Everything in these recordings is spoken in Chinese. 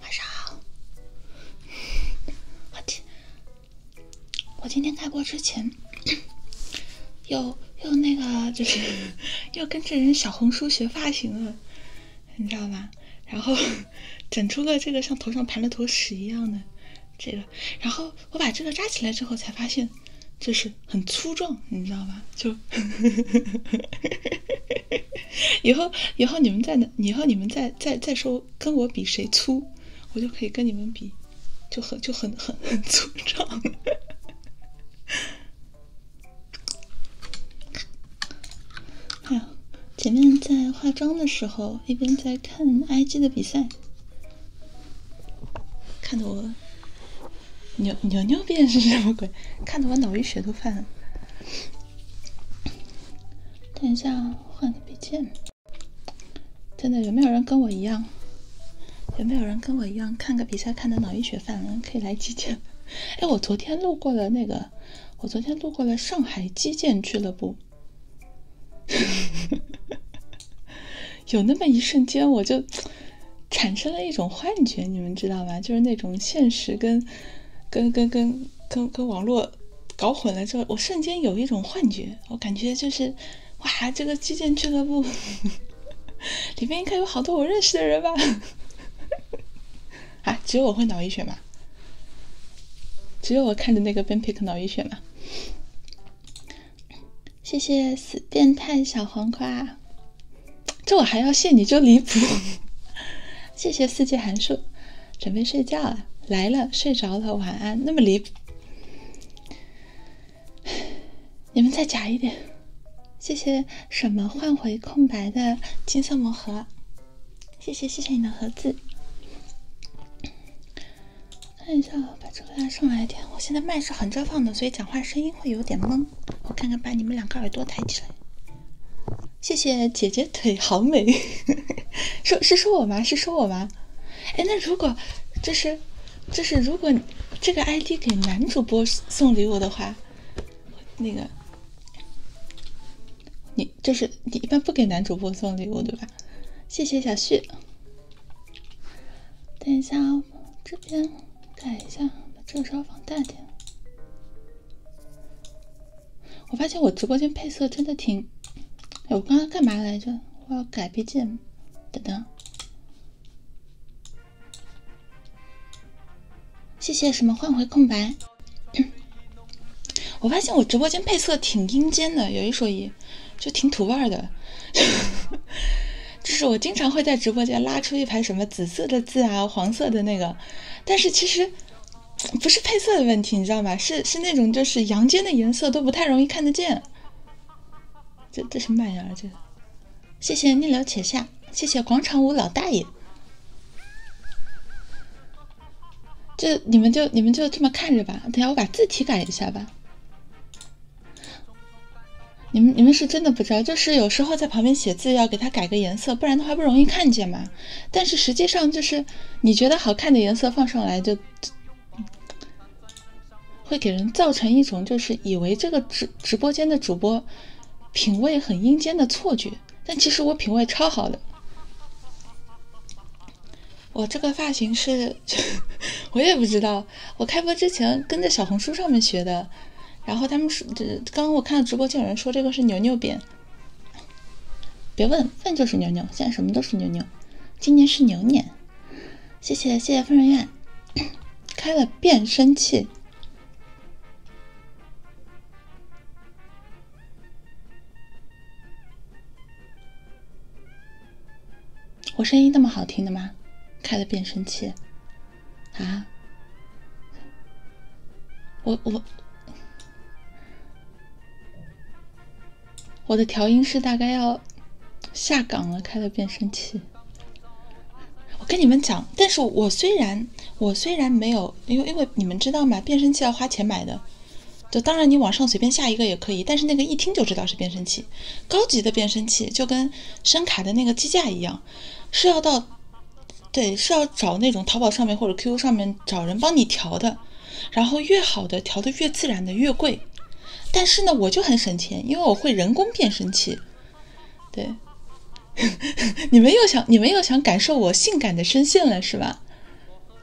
晚上好，我今我今天开播之前，又又那个就是 又跟这人小红书学发型了，你知道吗？然后整出了这个像头上盘了坨屎一样的这个。然后我把这个扎起来之后，才发现就是很粗壮，你知道吧？就 以后以后你们再，以后你们再再再说跟我比谁粗，我就可以跟你们比，就很就很很很粗壮。还 有，前面在化妆的时候，一边在看 IG 的比赛。看的我牛牛牛变是什么鬼？看的我脑溢血都犯了。等一下，换个笔记。真的，有没有人跟我一样？有没有人跟我一样看个比赛看的脑溢血犯了？可以来击剑。哎，我昨天路过了那个，我昨天路过了上海击剑俱乐部。有那么一瞬间，我就产生了一种幻觉，你们知道吗？就是那种现实跟跟跟跟跟跟网络搞混了之后，我瞬间有一种幻觉，我感觉就是哇，这个击剑俱乐部里面应该有好多我认识的人吧？啊，只有我会脑溢血吗？只有我看着那个 Ben Pick 脑溢血吗？谢谢死变态小黄瓜，这我还要谢你就离谱。谢谢四季函数，准备睡觉了，来了睡着了，晚安。那么离谱，你们再假一点。谢谢什么换回空白的金色魔盒，谢谢谢谢你的盒子。看一下，把这个拉上来一点。我现在麦是横着放的，所以讲话声音会有点闷。我看看，把你们两个耳朵抬起来。谢谢姐姐，腿好美。说，是说我吗？是说我吗？哎，那如果，就是，就是如果这个 ID 给男主播送礼物的话，那个，你就是你一般不给男主播送礼物对吧？谢谢小旭。等一下，这边改一下，把这个稍微放大点。我发现我直播间配色真的挺……哎，我刚刚干嘛来着？我要改背景。等等，谢谢什么换回空白。我发现我直播间配色挺阴间的，有一说一。就挺土味的，就是我经常会在直播间拉出一排什么紫色的字啊，黄色的那个，但是其实不是配色的问题，你知道吗？是是那种就是阳间的颜色都不太容易看得见。这这什么玩意儿？这谢谢逆流且下，谢谢广场舞老大爷。这你们就你们就这么看着吧，等下我把字体改一下吧。你们你们是真的不知道，就是有时候在旁边写字要给他改个颜色，不然的话不容易看见嘛。但是实际上就是你觉得好看的颜色放上来，就会给人造成一种就是以为这个直直播间的主播品味很阴间的错觉。但其实我品味超好的。我这个发型是，我也不知道。我开播之前跟着小红书上面学的，然后他们说，这刚刚我看到直播间有人说这个是牛牛辫，别问问就是牛牛，现在什么都是牛牛，今年是牛年，谢谢谢谢疯人院开了变声器。我声音那么好听的吗？开了变声器啊！我我我的调音师大概要下岗了。开了变声器，我跟你们讲，但是我虽然我虽然没有，因为因为你们知道嘛，变声器要花钱买的，就当然你网上随便下一个也可以，但是那个一听就知道是变声器。高级的变声器就跟声卡的那个机架一样，是要到对是要找那种淘宝上面或者 QQ 上面找人帮你调的，然后越好的调的越自然的越贵。但是呢，我就很省钱，因为我会人工变声器。对，你们又想你们又想感受我性感的声线了是吧？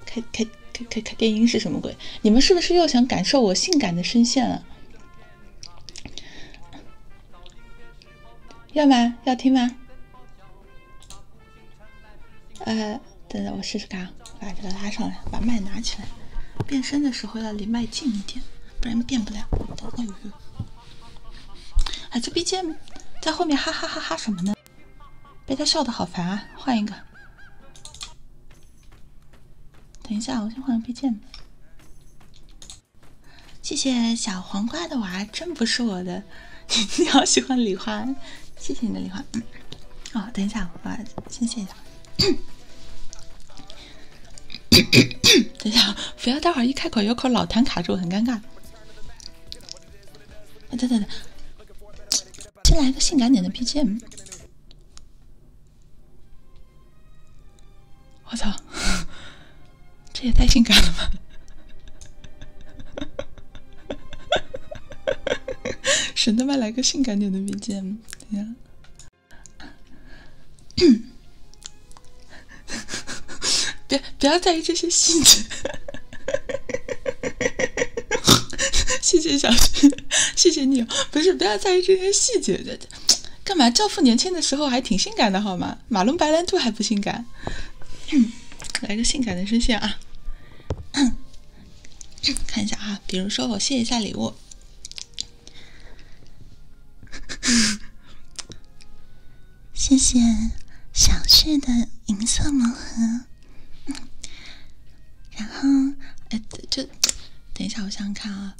开开开开开电音是什么鬼？你们是不是又想感受我性感的声线了？要吗？要听吗？呃，等等，我试试看，把这个拉上来，把麦拿起来。变声的时候要离麦近一点，不然变不了。哎，这 BGM 在后面，哈哈哈哈什么呢？被他笑的好烦啊！换一个。等一下，我先换个 BGM。谢谢小黄瓜的娃，真不是我的。你好喜欢李花，谢谢你的李花。嗯，哦，等一下，我先卸一下。等一下，不要待会儿一开口有口老痰卡住，很尴尬。等等等，先来个性感点的 BGM。我操！这也太性感了吧！神他妈来个性感点的 BGM，等下，别不要在意这些细节，细 节小事。谢谢你，不是不要在意这些细节的，干嘛？教父年轻的时候还挺性感的，好吗？马龙白兰度还不性感，来个性感的声线啊！看一下啊，比如说我谢一下礼物，谢谢小旭的银色盲盒。然后，哎，就等一下，我想想看啊。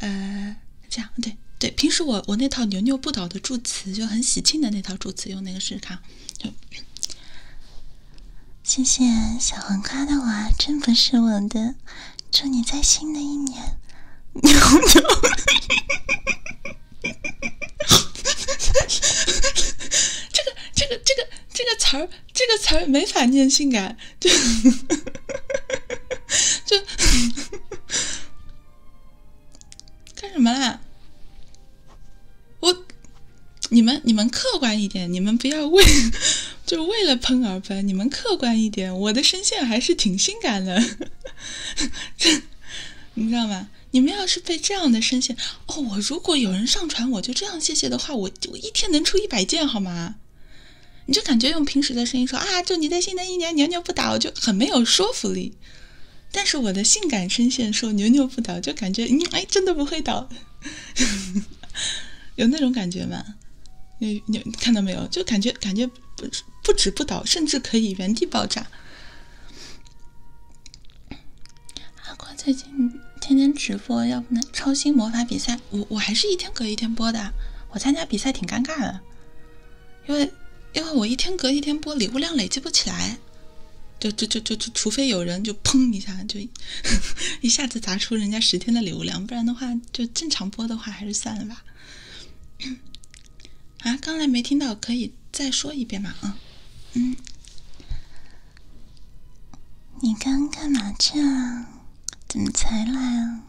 呃，这样，对对，平时我我那套牛牛不倒的祝词就很喜庆的那套祝词，用那个试看。就谢谢小黄瓜的娃，真不是我的，祝你在新的一年牛牛。这个这个这个这个词儿，这个词儿没法念性感。就就干什么啦？我你们你们客观一点，你们不要为就为了喷而喷，你们客观一点。我的声线还是挺性感的，这你知道吗？你们要是被这样的声线哦，我如果有人上传我就这样谢谢的话，我我一天能出一百件好吗？你就感觉用平时的声音说啊，祝你在新的一年牛牛不倒，就很没有说服力。但是我的性感声线说牛牛不倒，就感觉你哎，真的不会倒，有那种感觉吗？你你看到没有？就感觉感觉不止不倒，甚至可以原地爆炸。阿瓜最近天天直播，要不超星魔法比赛。我我还是一天隔一天播的，我参加比赛挺尴尬的，因为因为我一天隔一天播，礼物量累积不起来，就就就就就，除非有人就砰一下就 一下子砸出人家十天的礼物量，不然的话就正常播的话还是算了吧。啊，刚才没听到，可以再说一遍吗？啊，嗯，你刚干嘛去了？怎么才来啊？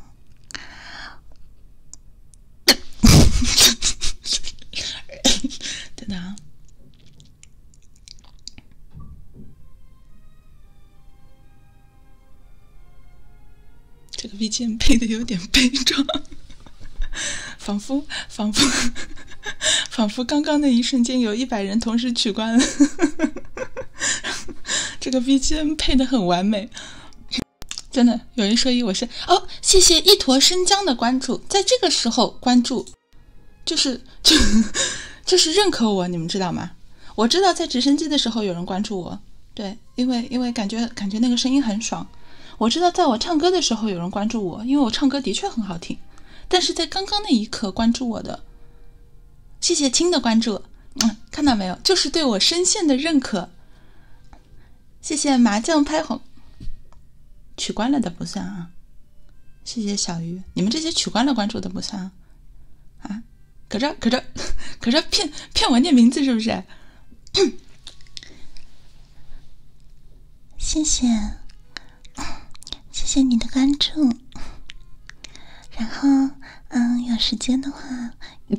等等、啊！这个 BGM 配的有点悲壮，仿佛仿佛仿佛刚刚那一瞬间有一百人同时取关。这个 BGM 配的很完美，真的。有一说一，我是哦，谢谢一坨生姜的关注，在这个时候关注，就是就就是认可我，你们知道吗？我知道在直升机的时候有人关注我，对，因为因为感觉感觉那个声音很爽。我知道在我唱歌的时候有人关注我，因为我唱歌的确很好听。但是在刚刚那一刻关注我的，谢谢亲的关注。嗯，看到没有？就是对我声线的认可。谢谢麻将拍红，取关了的不算啊。谢谢小鱼，你们这些取关了关注的不算啊。啊，可这可这 可这骗骗我念名字是不是？谢谢，谢谢你的关注。然后，嗯，有时间的话，为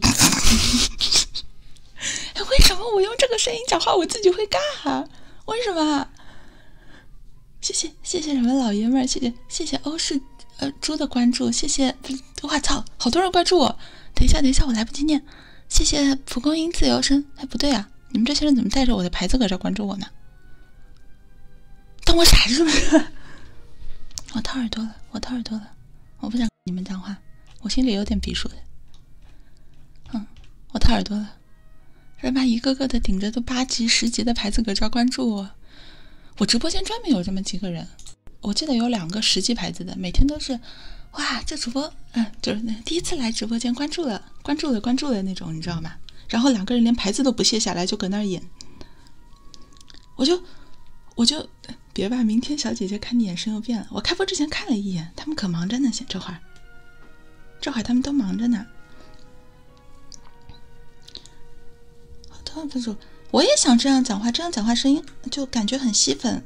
什么我用这个声音讲话，我自己会尬？为什么？谢谢谢谢，什么老爷们儿，谢谢谢谢欧式呃猪的关注，谢谢，我操，好多人关注我，等一下等一下，我来不及念，谢谢蒲公英自由身，哎，不对啊，你们这些人怎么带着我的牌子搁这关注我呢？当我傻是不是？我掏耳朵了，我掏耳朵了，我不想跟你们讲话，我心里有点鼻数的。嗯，我掏耳朵了。人妈一个个的顶着都八级、十级的牌子搁这儿关注我，我直播间专门有这么几个人，我记得有两个十级牌子的，每天都是，哇，这主播，嗯，就是那第一次来直播间关注了、关注了、关注的那种，你知道吗？然后两个人连牌子都不卸下来就搁那儿演。我就我就别吧，明天小姐姐看你眼神又变了。我开播之前看了一眼，他们可忙着呢，现这会儿，这会儿他们都忙着呢。好的，分手，我也想这样讲话，这样讲话声音就感觉很吸粉。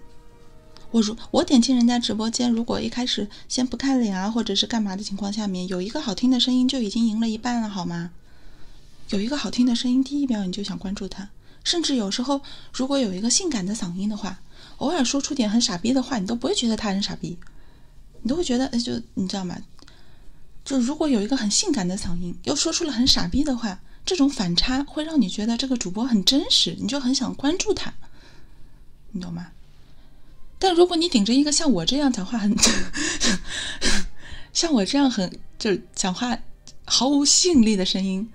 我如我点进人家直播间，如果一开始先不看脸啊，或者是干嘛的情况下面，有一个好听的声音，就已经赢了一半了，好吗？有一个好听的声音，第一秒你就想关注他。甚至有时候，如果有一个性感的嗓音的话，偶尔说出点很傻逼的话，你都不会觉得他人傻逼，你都会觉得，就你知道吗？就如果有一个很性感的嗓音，又说出了很傻逼的话，这种反差会让你觉得这个主播很真实，你就很想关注他，你懂吗？但如果你顶着一个像我这样讲话很，像我这样很就讲话毫无吸引力的声音，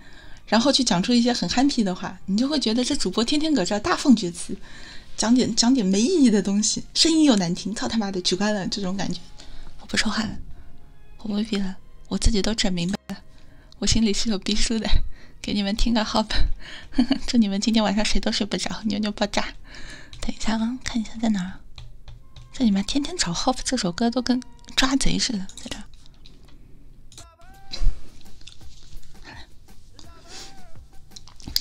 然后去讲出一些很憨批的话，你就会觉得这主播天天搁这大放厥词，讲点讲点没意义的东西，声音又难听，操他妈的，取关了这种感觉。我不说话了，我不逼了，我自己都整明白了，我心里是有逼数的，给你们听个 hope，祝你们今天晚上谁都睡不着，牛牛爆炸。等一下啊，看一下在哪？这你们天天找 hope 这首歌都跟。抓贼似的，在这儿。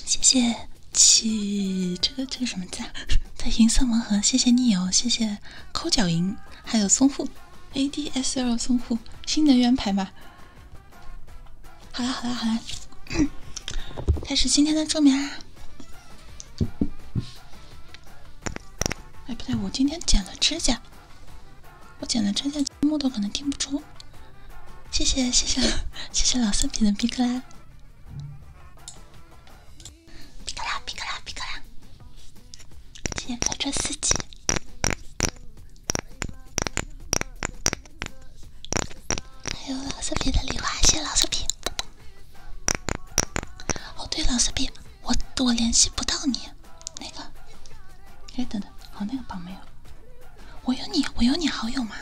谢谢，起这个这个什么字？“啊？在银色盲盒”，谢谢你哦，谢谢抠脚银，还有松户 a d s l 松户新能源牌吧。好啦好啦好啦，开始今天的助眠啦。哎，不对，我今天剪了指甲，我剪了指甲，木头可能听不出。谢谢谢谢谢谢老色皮的皮克拉，皮克拉皮克拉皮克拉，谢谢卡车司机，还有老色皮的礼花，谢谢老色皮。哦，对了，四 B，我我联系不到你，那个，哎，等等，好那个榜没有，我有你，我有你好友吗？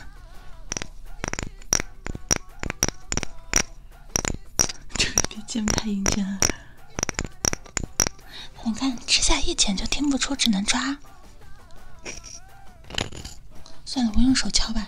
这不键盘印啊。你看吃下一剪就听不出，只能抓。算了，我用手敲吧。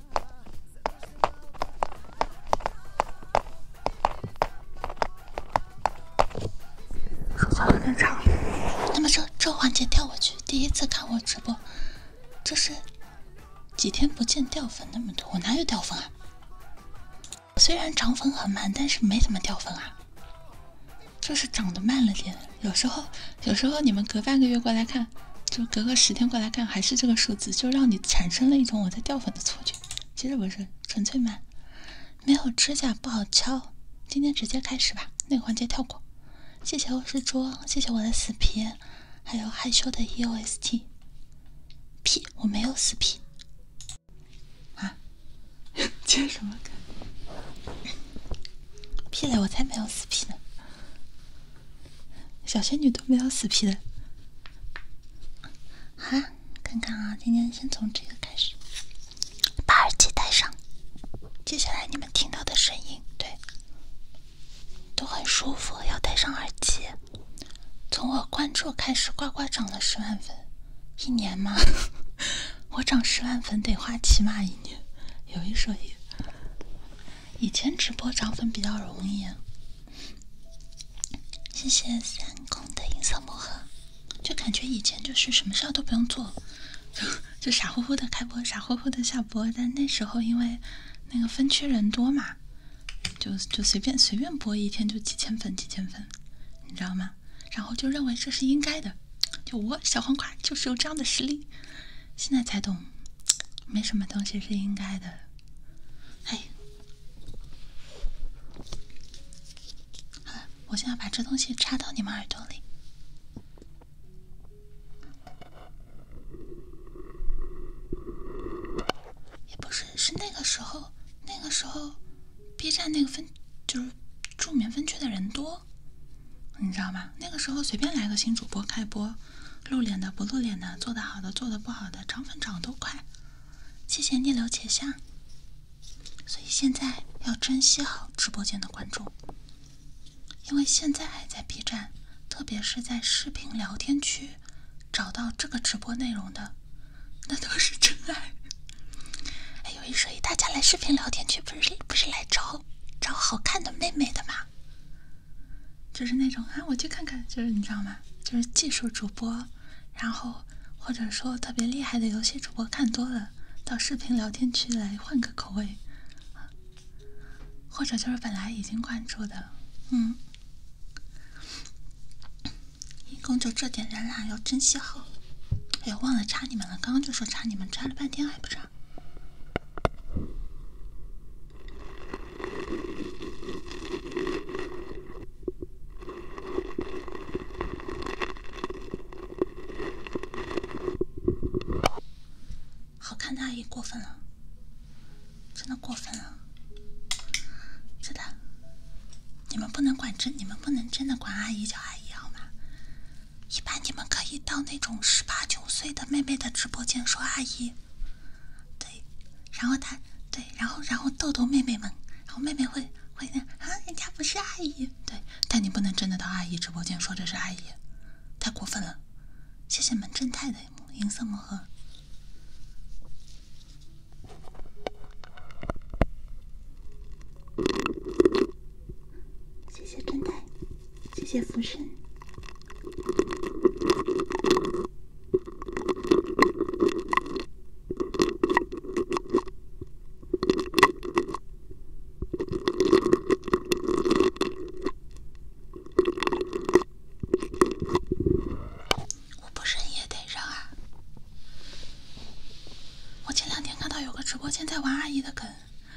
说错了太长。那么这这环节跳过去。第一次看我直播，这是几天不见掉粉那么多，我哪有掉粉啊？虽然涨粉很慢，但是没怎么掉粉啊。就是涨得慢了点，有时候有时候你们隔半个月过来看。就隔个十天过来看，还是这个数字，就让你产生了一种我在掉粉的错觉。其实不是，纯粹慢。没有指甲不好敲，今天直接开始吧，那个环节跳过。谢谢我是猪，谢谢我的死皮，还有害羞的 E O S T。屁，我没有死皮。啊？接什么梗？屁嘞，我才没有死皮呢。小仙女都没有死皮的。好，看看啊，今天先从这个开始。把耳机戴上，接下来你们听到的声音，对，都很舒服。要戴上耳机。从我关注开始，呱呱涨了十万粉，一年吗？我涨十万粉得花起码一年，有一说一。以前直播涨粉比较容易，谢谢三公的银色魔盒，就感觉以前就是什么事都不用做，就 就傻乎乎的开播，傻乎乎的下播。但那时候因为那个分区人多嘛，就就随便随便播一天就几千粉几千粉，你知道吗？然后就认为这是应该的，就我小黄瓜就是有这样的实力。现在才懂，没什么东西是应该的。哎，好了，我现在把这东西插到你们耳朵里。也不是，是那个时候，那个时候，B 站那个分就是助眠分区的人多，你知道吗？那个时候随便来个新主播开播。露脸的不露脸的，做得好的做得不好的，涨粉涨都快。谢谢逆流且下。所以现在要珍惜好直播间的观众，因为现在还在 B 站，特别是在视频聊天区找到这个直播内容的，那都是真爱。还有一说，大家来视频聊天区不是不是来找找好看的妹妹的吗？就是那种啊，我去看看，就是你知道吗？就是技术主播，然后或者说特别厉害的游戏主播，看多了，到视频聊天区来换个口味，或者就是本来已经关注的，嗯，一共就这点人啦，要珍惜好。哎呀，忘了插你们了，刚刚就说插你们，插了半天还不插。好看的阿姨过分了，真的过分了。真的，你们不能管真，你们不能真的管阿姨叫阿姨好吗？一般你们可以到那种十八九岁的妹妹的直播间说阿姨。然后他，对，然后然后豆豆妹妹们，然后妹妹会会那啊，人家不是阿姨，对，但你不能真的到阿姨直播间说这是阿姨，太过分了。谢谢门正太的银色魔盒，谢谢正太，谢谢福生。我不扔也得扔啊！我前两天看到有个直播间在玩阿姨的梗，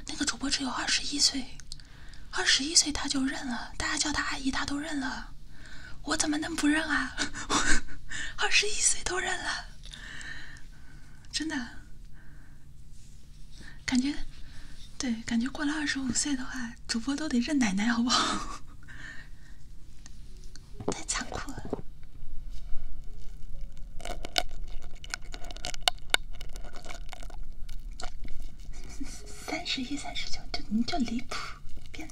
那个主播只有二十一岁。二十一岁他就认了，大家叫他阿姨，他都认了。我怎么能不认啊？二十一岁都认了，真的，感觉，对，感觉过了二十五岁的话，主播都得认奶奶，好不好？太残酷了。三十一、三十九，就你就离谱，别。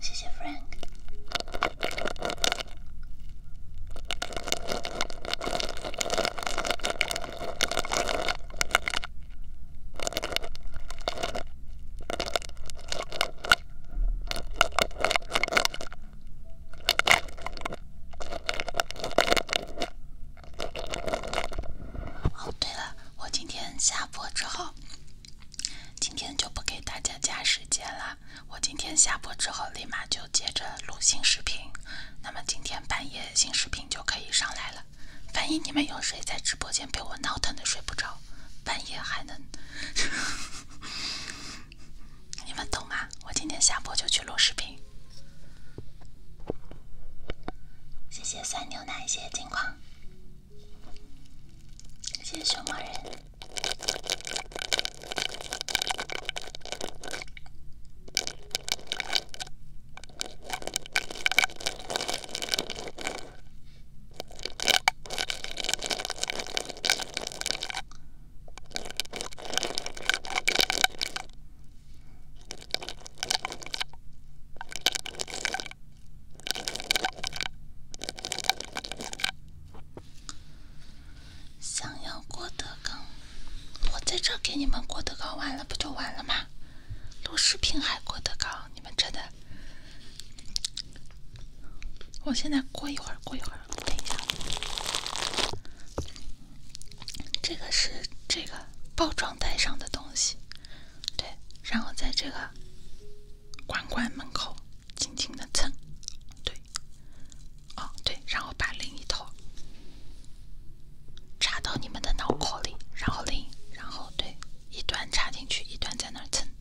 谢谢 Frank。哦，对了，我今天下播之后，今天就不给大家加时间了。我今天下播之后立马就接着录新视频，那么今天半夜新视频就可以上来了。万一你们有谁在直播间？被我闹腾的睡不着，半夜还能，你们懂吗？我今天下播就去录视频。谢谢酸牛奶，谢谢金矿，谢谢熊猫人。想要郭德纲，我在这给你们郭德纲完了，不就完了吗？录视频还郭德纲，你们真的。我现在过一会儿，过一会儿，等一下。这个是这个包装袋上的东西，对。然后在这个管管门口轻轻的蹭，对。哦，对，然后把另一头插到你们的脑壳里，然后拎，然后对，一端插进去，一端在那儿蹭。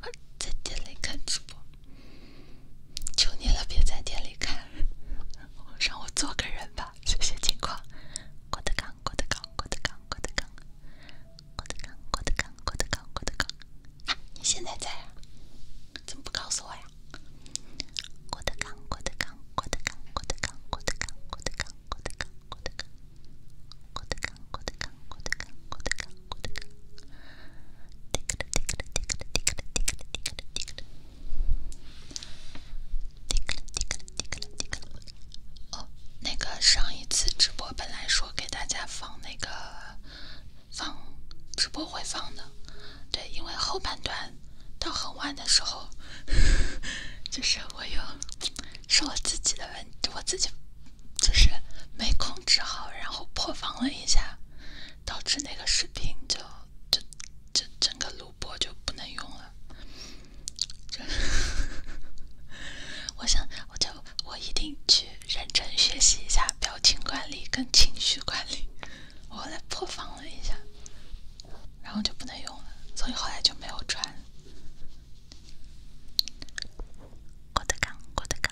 我在店里看直播，求你了，别在店里看，让我做个人吧，谢谢金矿。郭德纲，郭德纲，郭德纲，郭德纲，郭德纲，郭德纲，郭德纲，郭德纲，郭德纲，你现在在啊？怎么不告诉我呀？郭德纲，郭德纲，郭德纲，郭德纲，郭德纲，郭德纲，郭德纲，郭德纲，郭德纲。哦，那个上一次直播本来说给大家放那个放直播回放的，对，因为后半段到很晚的时候，就是我有是我自己的问题，我自己。就是没控制好，然后破防了一下，导致那个视频就就就整个录播就不能用了。就是 我想，我就我一定去认真学习一下表情管理跟情绪管理。我后来破防了一下，然后就不能用了，所以后来就没有传。郭德纲，郭德纲。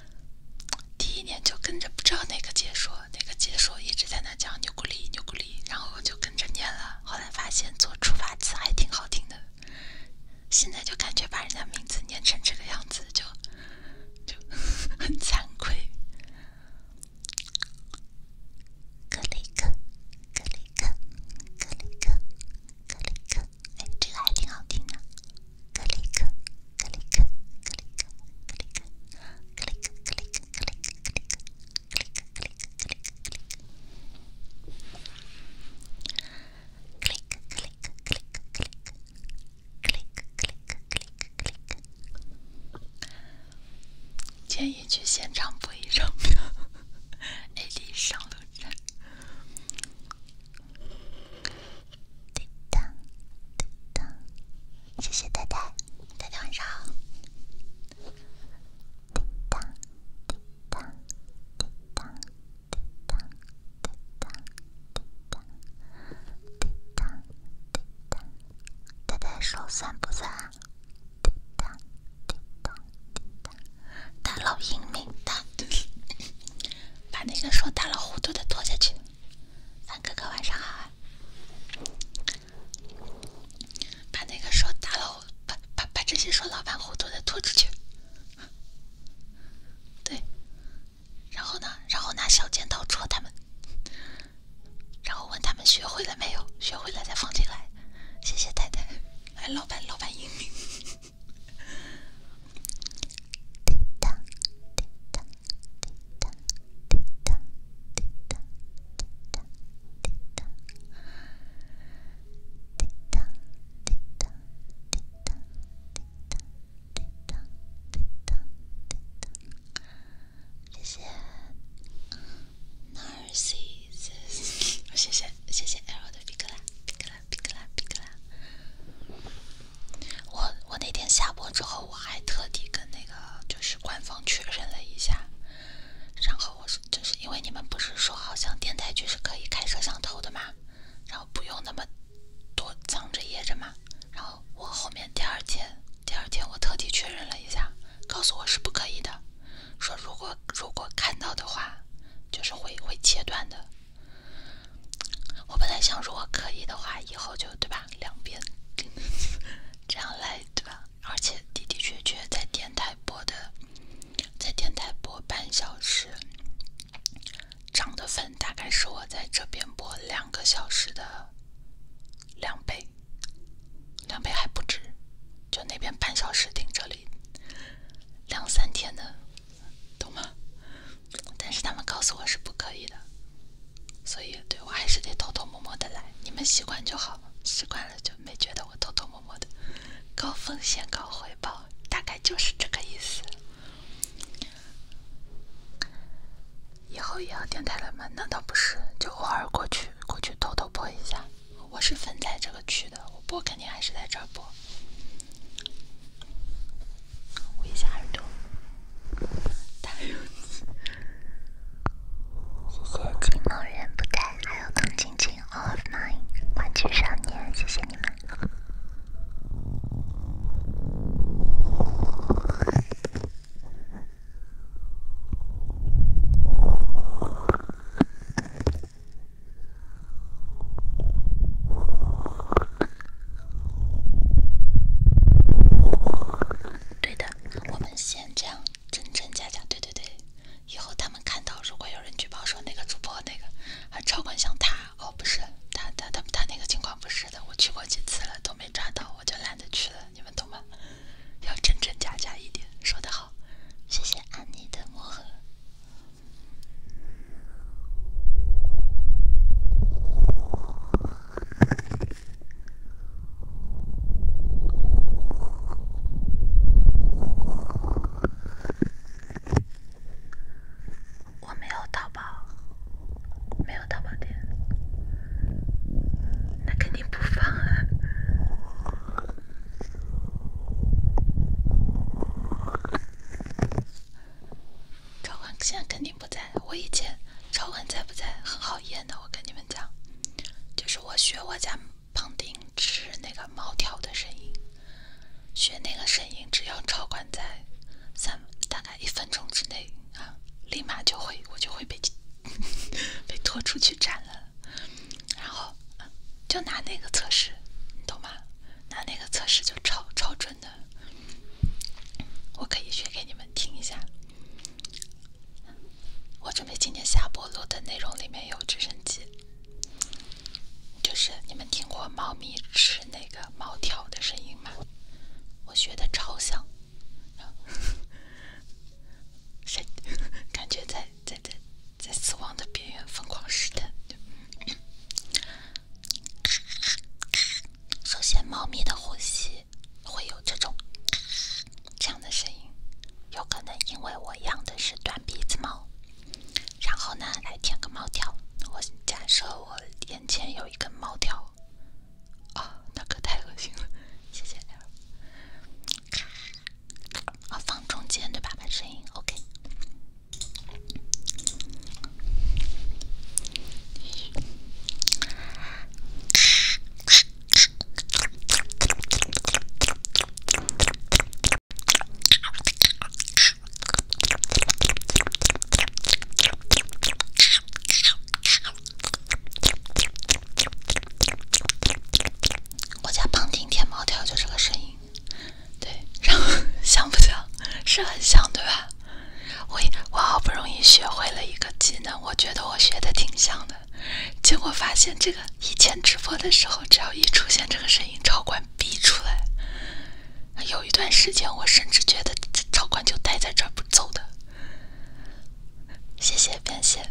第一年就跟着不知道哪个解说，哪个解说一直在那讲牛骨力牛骨力，然后就跟着念了。后来发现做出发词还挺好听的，现在就感觉把人家名字念成这个样子，就就 很惭愧。格里克，格里克，格里克，格里克。建议去现场补一张票。A D 上路站，叮当，叮当，谢谢太太，太太晚上好。叮当，叮当，叮当，叮当，叮当，叮当，叮当，叮当，太太说算不算？叮当，叮当，叮当，大老鹰没打。把那个说大佬糊涂的拖下去。凡哥哥晚上好。把那个说大佬，把把把这些说老板糊涂的拖出去。对，然后呢？然后拿小剪刀戳他们，然后问他们学会了没有？学会了再放进来。谢谢太太，哎，老板，老板英明。滴答滴答滴答滴谢谢 Narcissus。谢谢谢的皮克拉皮克拉。哔克拉，哔克拉！我我那天下播之后，我还特地跟那个就是官方确认了一下，然后我是就是因为你们不是说好像电台剧是可以开摄像头的嘛，然后不用那么多藏着掖着嘛，然后我后面第二天，第二天我特地确认了一下，告诉我是不可以的，说如果如果看到的话，就是会会切断的。我本来想，如果可以的话，以后就对吧，两边 这样来对吧？而且，的的确确，在电台播的，在电台播半小时，涨的粉大概是我在这边播两个小时的两倍，两倍还不止。就那边半小时顶这里两三天的。懂吗？但是他们告诉我是不可以的，所以对我还是得偷偷摸摸的来。你们习惯就好习惯了就没觉得我偷偷摸摸的。高风险高回报，大概就是这个意思。以后也要电台了吗？难道不是？就偶尔过去过去偷偷播一下。我是分在这个区的，我播肯定还是在这播。捂一下耳朵，打游戏。谢谢金梦人不带，还有童晶晶、All Nine、玩具少年，谢谢你们。对的，我们先这样真真假假，对对对。以后他们看到，如果有人举报说那个主播那个还超管像他，哦不是，他他他他那个情况不是的，我去过几次了都没抓到，我就懒得去了，你们懂吗？要真真假假一点，说的好，谢谢安妮的魔盒。我没有淘宝，没有淘宝店，那肯定不放啊。超管现在肯定不在，我以前超管在不在很好验的，我跟你们讲，就是我学我家胖丁吃那个猫条的声音，学那个声音，只要超管在三大概一分钟之内啊，立马就会我就会被 被拖出去斩了，然后就拿那个测试，你懂吗？拿那个测试就超超准。的，我可以学给你们听一下。我准备今天下播录的内容里面有直升机，就是你们听过猫咪吃那个猫条的声音吗？我学的超像，感觉在在在在死亡的边缘疯狂试探。首先，猫咪的呼吸会有这种这样的声音，有可能因为我养的是短鼻子猫。然后呢，来舔个猫条。我假设我眼前有一根猫条，啊，那可太恶心了。谢谢。啊，放中间对吧？声音 OK。我家胖丁舔猫条就这个声音，对，像 不像？是很像，对吧？我我好不容易学会了一个技能，我觉得我学的挺像的，结果发现这个以前直播的时候，只要一出现这个声音，超管逼出来。有一段时间，我甚至觉得超管就待在这儿不走的。谢谢编写的，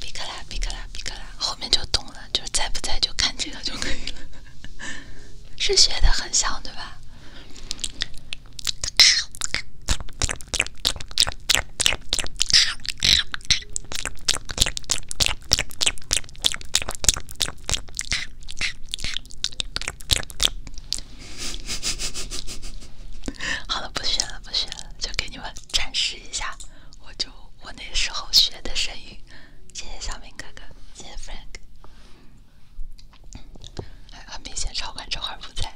哔克拉比克拉比克拉，后面就懂了，就是在不在就看这个就可以了。是学的很像对吧？好了，不学了，不学了，就给你们展示一下，我就我那时候学的声音。谢谢小明哥哥，谢谢 Frank。很明显，超管这块儿不在。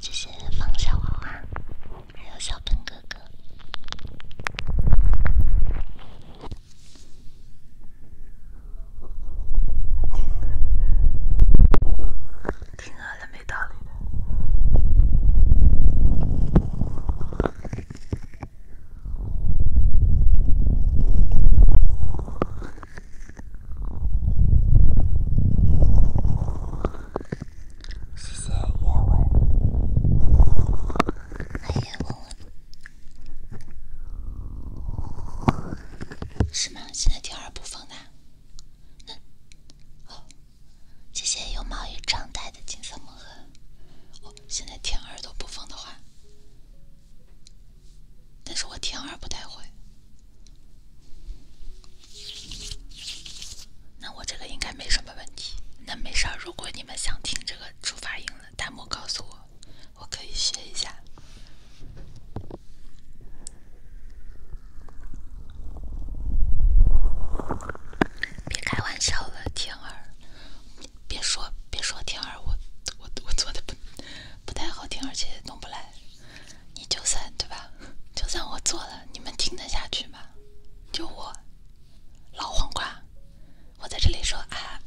谢谢方小娃娃，还有小笨哥哥。听啊，了没道理的。谢谢叶文，还有我，是吗？现在第二部分的，那好。谢谢有毛衣状态的金色魔盒。哦，现在贴耳朵不封的话，但是我贴耳不太会，那我这个应该没什么问题。那没事儿，如果你们想听这个主发音的，弹幕告诉我，我可以学一下。别开玩笑了，天儿，别说别说天儿，我我我做的不不太好听，而且弄不来。你就算对吧？就算我做了，你们听得下去吗？就我老黄瓜，我在这里说啊，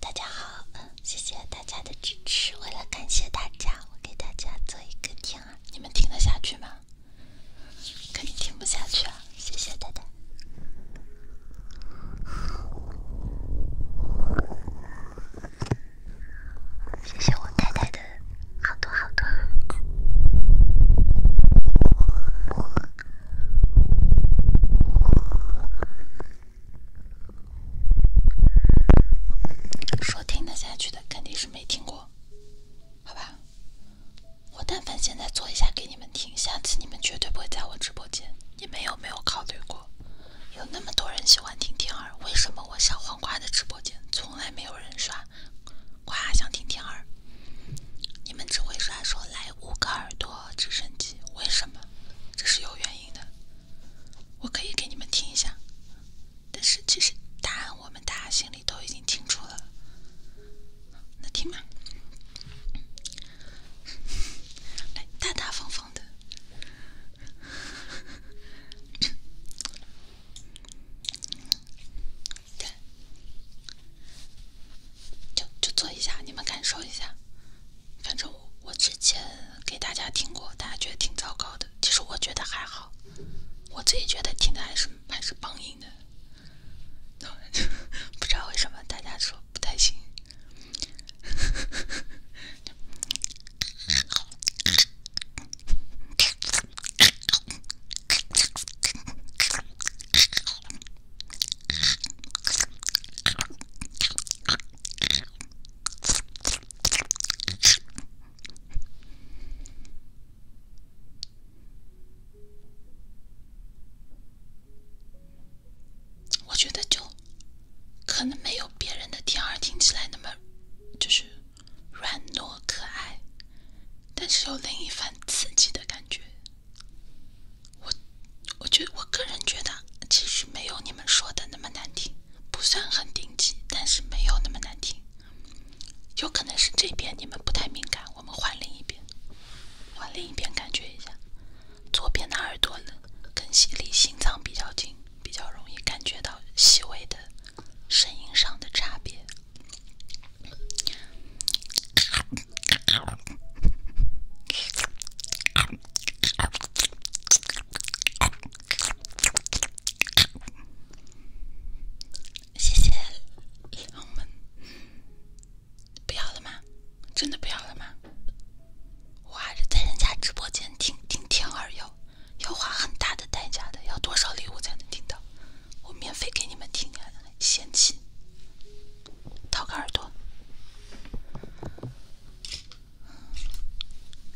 大家好，谢谢大家的支持。为了感谢大家，我给大家做一个天儿，你们听得下去吗？肯定听不下去啊！谢谢太太，谢谢我太太的好多好多。说听得下去的，肯定是没听过。好吧，我但凡现在做一下给你们听，下次你们绝对不会在我直播间。你们有没有考虑过，有那么多人喜欢听天儿，为什么我小黄瓜的直播间从来没有人刷，夸想听天儿，你们只会刷说来五个耳朵直升机，为什么？这是有原因的。我可以给你们听一下，但是其实答案我们大家心里。你都已经清楚了，那听吧。来，大大方方的，对，就就做一下，你们感受一下。反正我我之前给大家听过，大家觉得挺糟糕的。其实我觉得还好，我自己觉得听的还是还是棒音的。不知道为什么，大家说不太行。我觉得就可能没有别人的天儿听起来那么就是软糯可爱，但是有另一番刺激的感觉。我我觉得我个人觉得其实没有你们说的那么难听，不算很顶级，但是没有那么难听。有可能是这边你们不太敏感。我们换另一边，换另一边，感觉一下，左边的耳朵呢，更吸离心脏比较近，比较容易感觉到细微的声音上的差别。谢谢，我们不要了吗？真的不要了吗？我还是在人家直播间听，听。天二幺要花很大的代价的，要多少礼物才能听到？我免费给你们听，下嫌弃？掏个耳朵？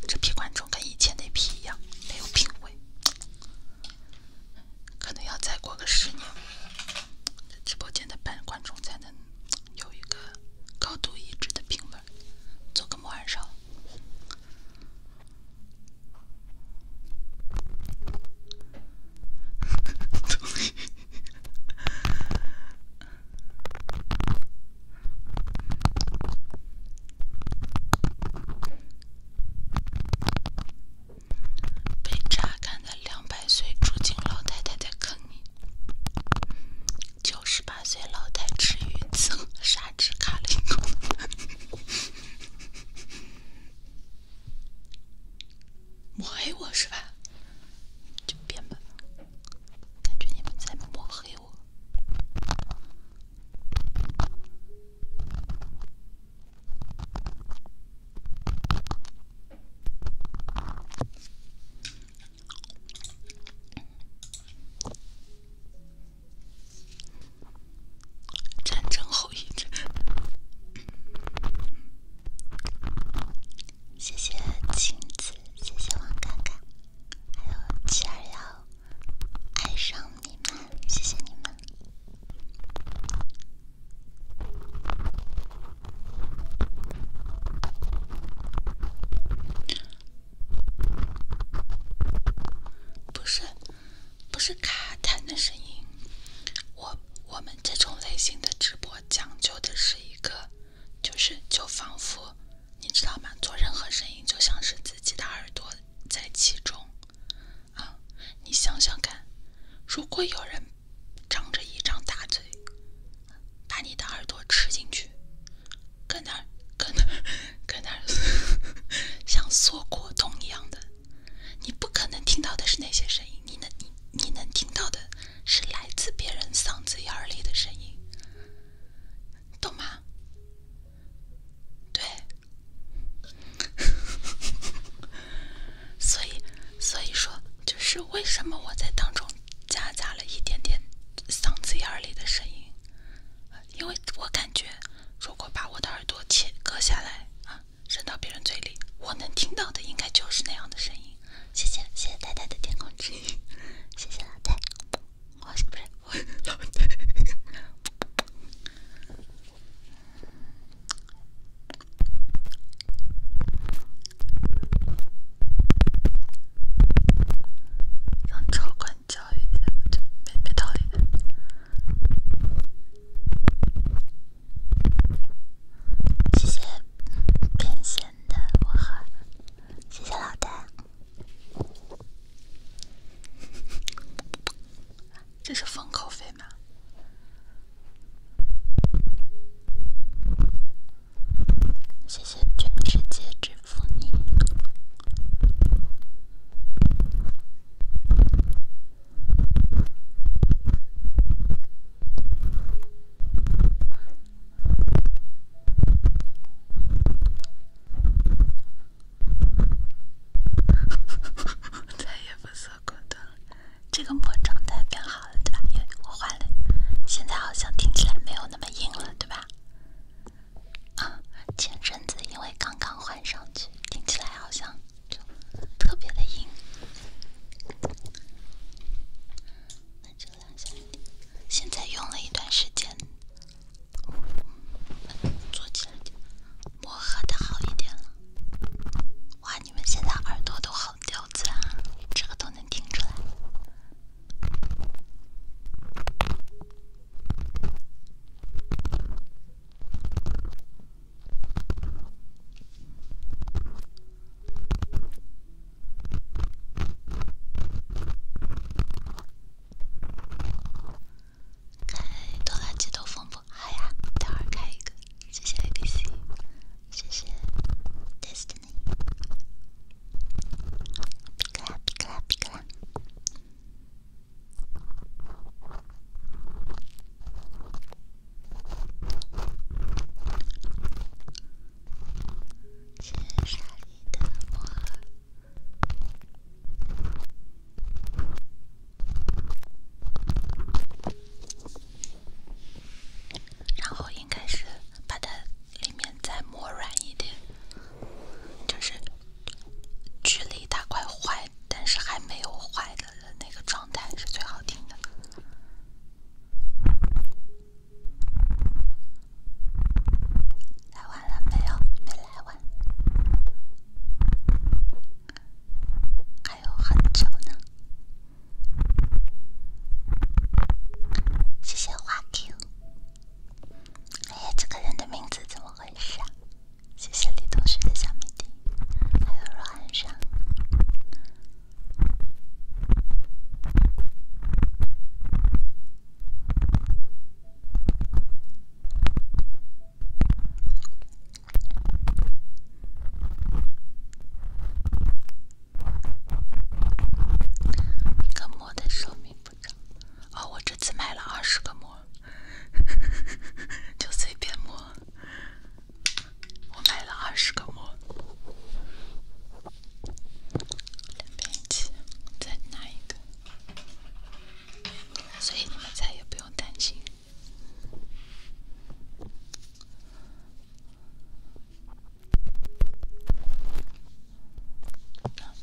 这批观众跟以前那批一样，没有品味。可能要再过个十年，直播间的半观众才能有一个高度一致的评论。做个木耳手。被榨干的两百岁住进老太太的坑里，九十八岁老太吃鱼刺，杀纸卡了一口。抹黑我是吧？就变吧。感觉你们在抹黑我。战争后遗症。谢谢镜子，谢谢王哥哥，还有七二幺，爱上你们，谢谢你们。不是，不是卡痰的声音。我我们这种类型的直播讲究的是一个，就是就仿佛，你知道吗？做任何声音，就像是自己的耳朵在其中。啊，你想想看，如果有人。张着一张大嘴，把你的耳朵吃进去，搁那儿，搁那儿，搁那儿，像缩果冻一样的。你不可能听到的是那些声音，你能，你你能听到的是来自别人嗓子眼里的声音，懂吗？对。所以，所以说，就是为什么我在当中夹杂了一点点嗓子眼儿里的声音，因为我感觉，如果把我的耳朵切割下来啊，伸到别人嘴里，我能听到的应该就是那样的声音。谢谢，谢谢太太的天空之音，谢谢老太，我不是老太。让超管教育一下，没没道理的。谢谢变身的五号，谢谢老大。这是封口费吗？谢谢全世界之父你，再也不是。好的，这个磨状态变好了，对吧？因为我换了，现在好像听起来没有那么硬了，对吧？啊，前阵子因为刚刚换上去，听起来好像就特别的硬。那下，现在用了一段时间，磨合的好一点了，换。你们现在耳朵都好刁钻啊，这个都能听出来。开拖拉机都风不嗨呀，等会开一个。谢谢迪斯，谢谢 Destiny。皮卡皮卡皮卡。千砂里的我。然后应该是把它里面再磨软一点，就是距离它快坏，但是还没有坏的那个状态是最好听的。来完了没有？没来完。还有很久呢，谢谢花 Q。哎，这个人的名字怎么回事？谢谢李同学的小迷弟，还有若寒霜。一个模的寿命不长，哦，我这次买了二十个模，就随便摸，我买了二十个模，再拿一个，所以你们再也不用担心。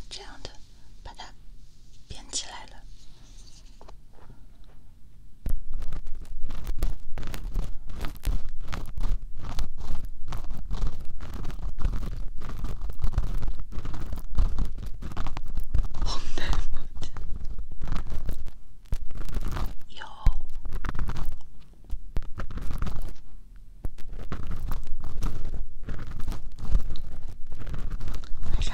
这样的，把它编起来了。有？为啥？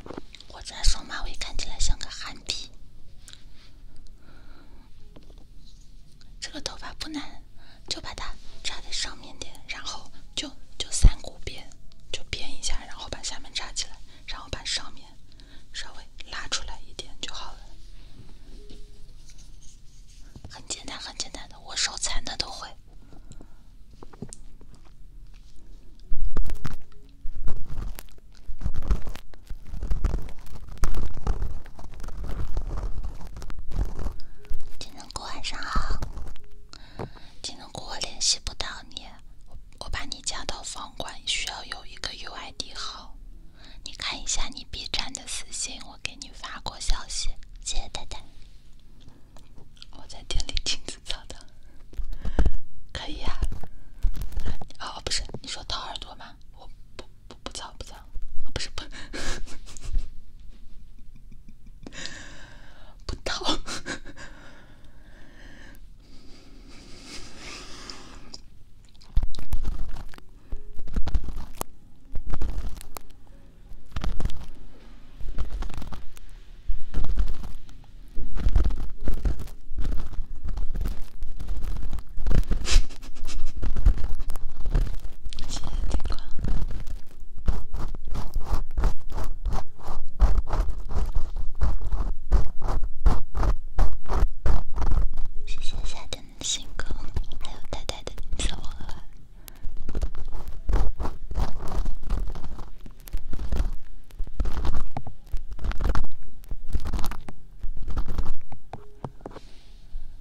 我扎双马尾，看起来像个憨批。这个头发不难，就把它扎在上面点，然后就就三股辫，就编一下，然后把下面扎起来，然后把上面稍微拉出来一点就好了。很简单，很简单的，我手残的都会。金针菇，晚上好。金针菇，我联系不到你，我把你加到房管需要有一个 UID 号，你看一下你 B 站的私信，我给你发过消息。谢谢太太。我在店里亲自操的，可以呀。哦，不是，你说掏耳朵吗？我不不不操不操，不是不 不掏。谢谢天空，谢谢夏天的星空，还有太太的礼物。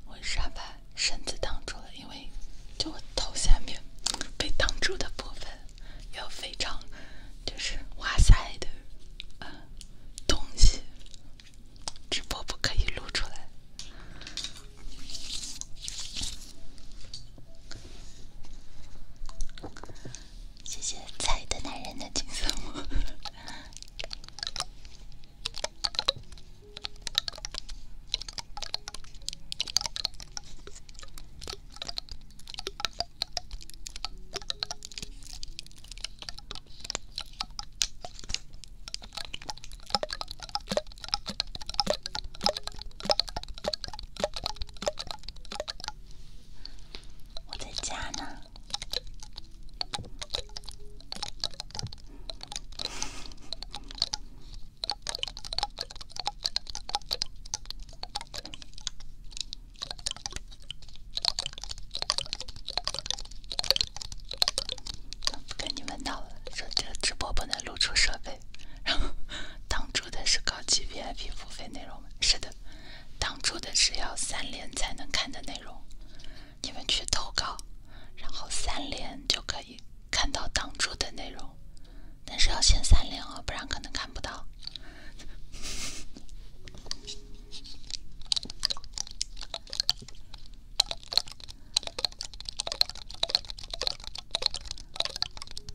为啥把身子挡住了？因为就我头下面被挡住的部分，有非常就是哇塞的啊东西，直播不可以露出来。谢谢菜的男人的金色猫。我在家呢，跟你们闹了，说这个直播不能露出设备。然后挡住的是高级 VIP 付费内容，是的，挡住的是要三连才能看的内容，你们去投稿，然后三连就可以看到挡住的内容，但是要先三连哦，不然可能看不到。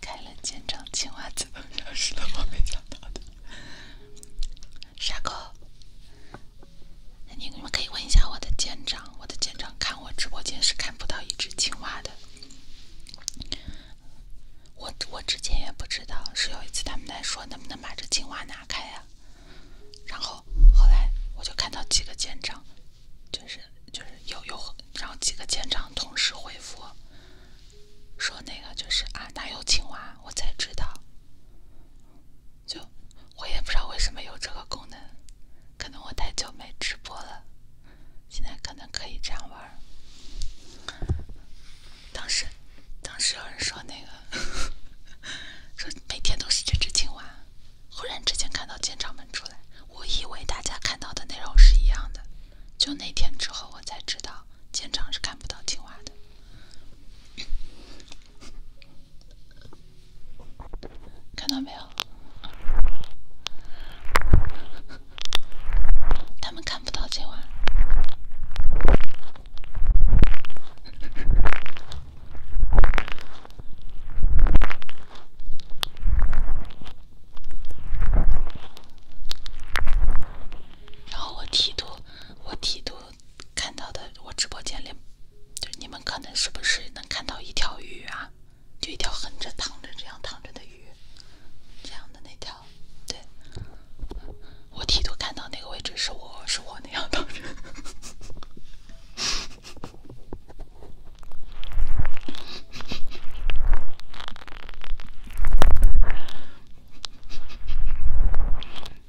开了肩章，青蛙自动消失。他旁边讲他的傻狗。你们可以问一下我的舰长，我的舰长看我直播间是看不到一只青蛙的。我我之前也不知道，是有一次他们在说能不能把这青蛙拿开呀，然后后来我就看到几个舰长，就是就是有有，然后几个舰长同时回复说那个就是啊，哪有青蛙？我才知道。就我也不知道为什么有这个功能，可能我太久没直播了，现在可能可以这样玩。当时，当时有人说那个，说每天都是这只青蛙，忽然之间看到舰长们出来，我以为大家看到的内容是一样的。就那天之后，我才知道舰长是看不到青蛙的。看到没有？他们看不到今晚。然后我剃度，我剃度。看到的我直播间里，就你们可能是不是能看到一条鱼啊？就一条横着躺着、这样躺着的鱼，这样的那条，对我提头看到那个位置是我是我那样躺着。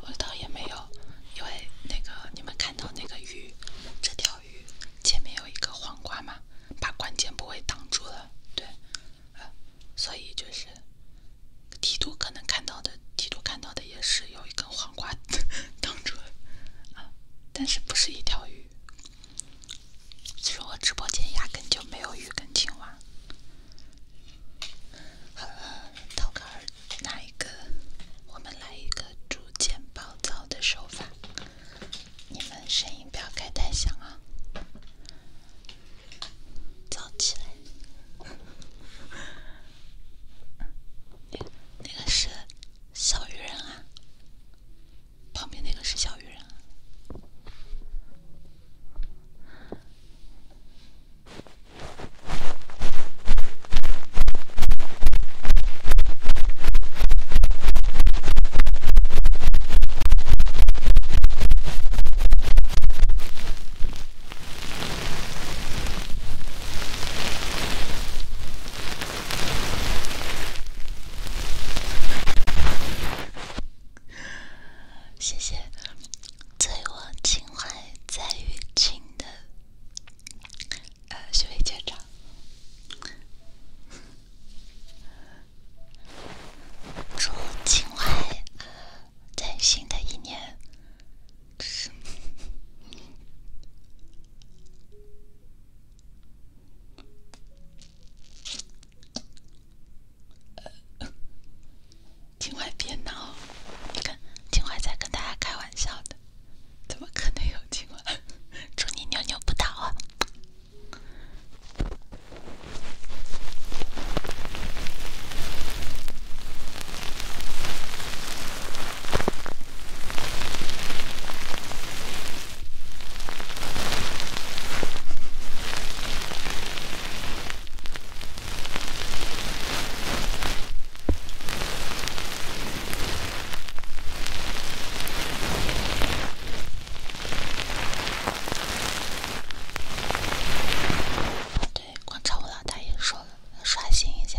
我倒也没有，因为那个你们看到那个鱼，这条鱼前面有一个黄瓜嘛，把关键部位挡住了，对，所以就是提督可能看到的，提督看到的也是有一根黄瓜 挡住了，啊，但是不是一条鱼。其实我直播间压根就没有鱼跟青蛙。好了，涛哥儿，来一个，我们来一个逐渐暴躁的手法。你们声音不要开太响啊！躁起来！那那个是小鱼人啊？旁边那个是小鱼人。谢谢醉卧秦淮在雨晴的呃许巍姐长，祝秦淮在新的一年是。呃，今晚别闹，你看，今怀在跟大家开玩笑的，怎么可能有今晚？祝你扭扭不倒啊！对，广场舞老大也说了，要刷新一下。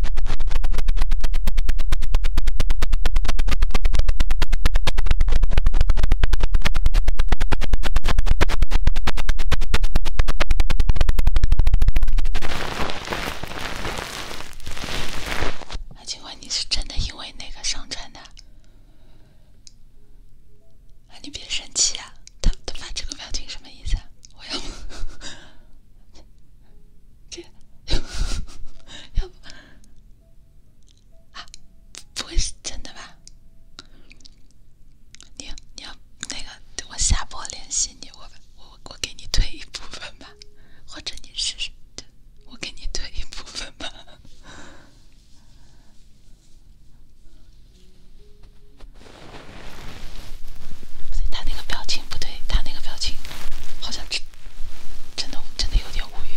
啊，请问你是真的因为那个上传的？啊，你别生气啊！他他发这个表情什么意思啊？我要。这，要不，啊，不会是真的吧？你要你要那个，我下播联系你，我我我给你退一部分吧，或者你试试，我给你退一部分吧。他那个表情不对，他那个表情好像吃。真的，真的有点无语。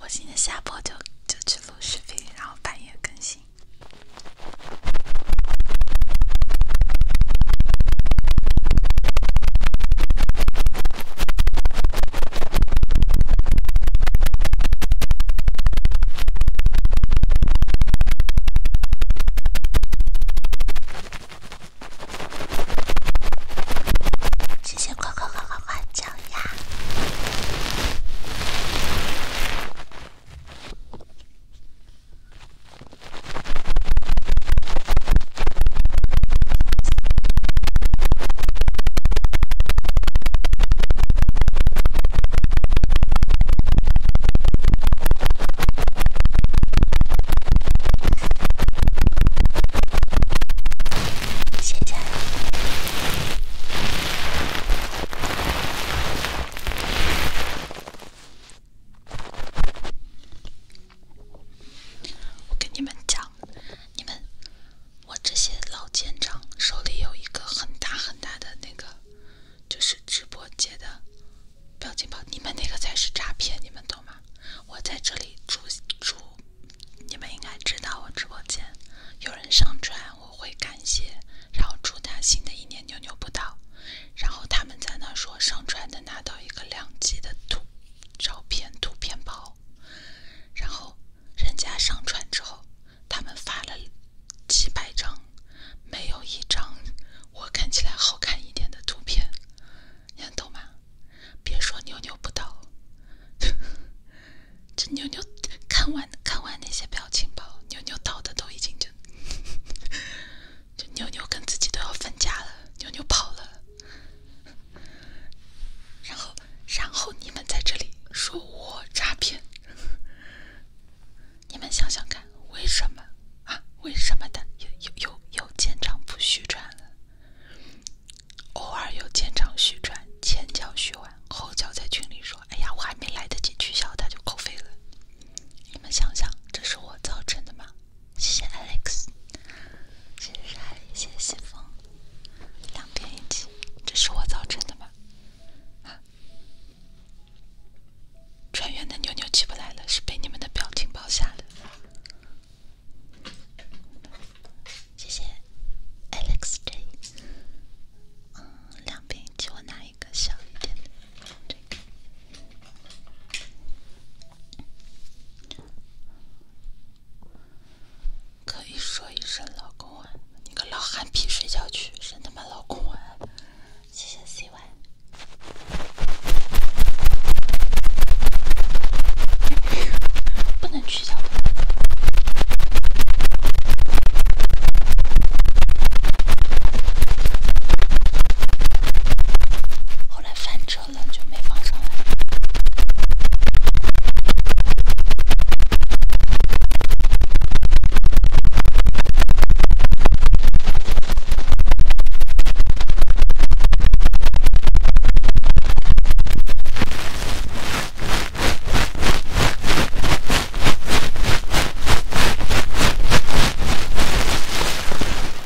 我今天下播就就去录视频，然后半夜更新。谢谢快快快快快！小鸭。谢谢。我跟你们讲，你们我这些老舰长手里有一个很大很大的那个，就是直播界的表情包，你们那个才是诈骗，你们懂吗？我在这里注注。你们应该知道，我直播间有人上传，我会感谢，然后祝他新的一年牛牛不倒。然后他们在那说上传能拿到一个两 G 的图照片图片包。然后人家上传之后，他们发了几百张，没有一张我看起来好看一点的图片，你懂吗？别说牛牛不倒。这妞妞看完看完那些表情包，妞妞到的都已经就，就妞妞跟自己都要分家了，妞妞跑了，然后然后你们在这里说我诈骗，你们想想看为什么啊？为什么的？又又又又见长不虚传了。偶尔有见长续传，前脚续完，后脚在群里说：“哎呀，我还没来得及取消，他就扣费了。”你们想想，这是我造成的吗？谢谢 Alex，谢谢莎莉，谢谢西风，两边一起，这是我造成的吗？啊！穿越的妞妞起不来了，是被你们的表情包吓的。谢谢 Alex J。嗯，两瓶，替我拿一个小一点的。这个可以说一声老公吻，你个老憨皮，睡觉去，真他妈老公吻。谢谢 C Y。不能。后来翻车了，就没放上来。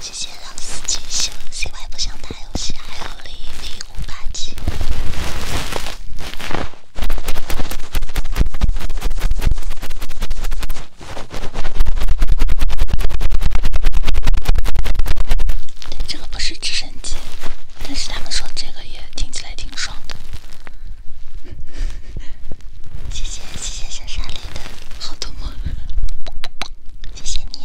谢谢老师，静休息，我不想打游戏，还有零零这个不是直升机，但是他们说这个也挺近。还挺爽的，谢谢谢谢小沙雷的，好的吗？谢谢你。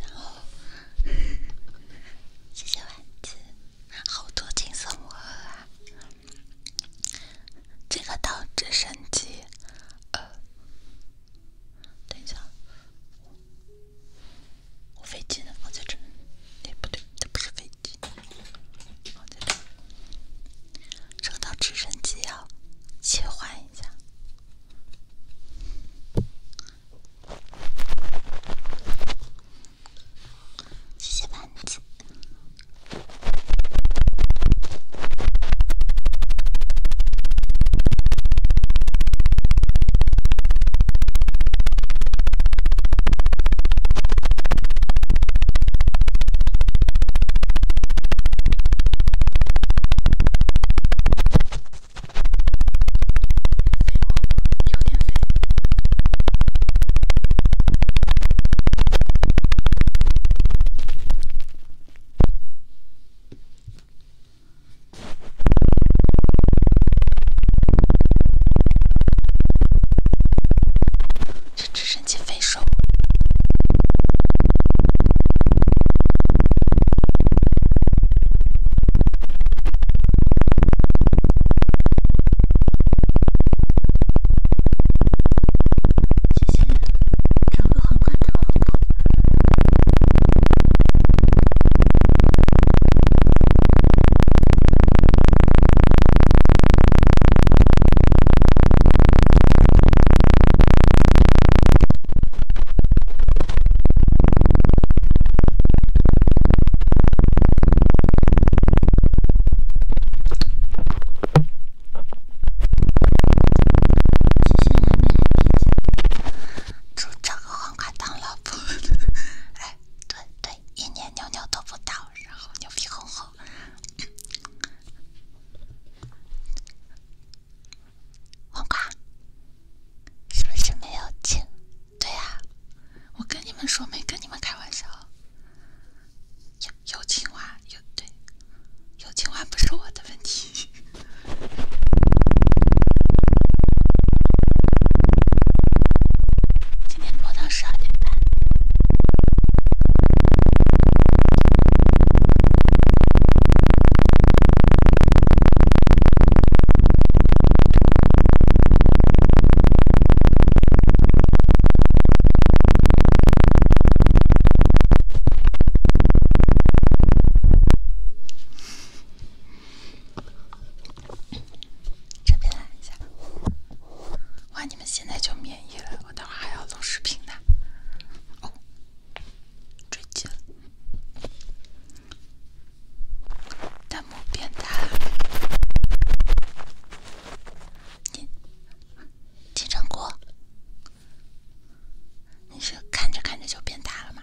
然后，谢谢丸子，好多金色魔盒啊！这个到直升机，呃，等一下，我飞机呢？放在这儿，哎，不对，那不是飞机。升到直升机啊！切换一下。谢谢板子。电有点费，这赶紧分手！谢谢，找个老现在找个黄瓜当老婆。哎，对对，一年牛牛都不倒，然后牛皮哄哄。黄瓜是不是没有青？对呀，我跟你们说，没跟你们开玩笑。有青蛙，有对，有青蛙不是我的问题。今天播的。十二点半。你们现在就免疫了，我等会还要录视频呢。哦，追击了，弹幕变大了。你，金针菇，你是看着看着就变大了吗？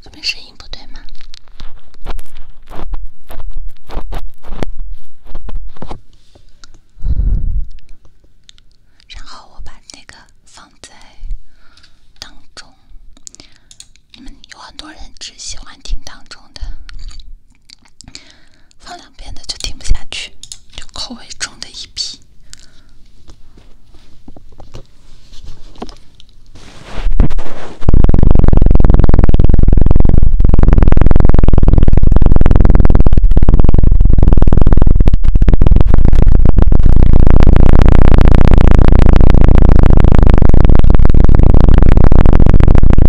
这边声音不对吗？然后我把那个放在当中，你们有很多人只喜欢听当中的。放两遍的就听不下去，就口味重的一批。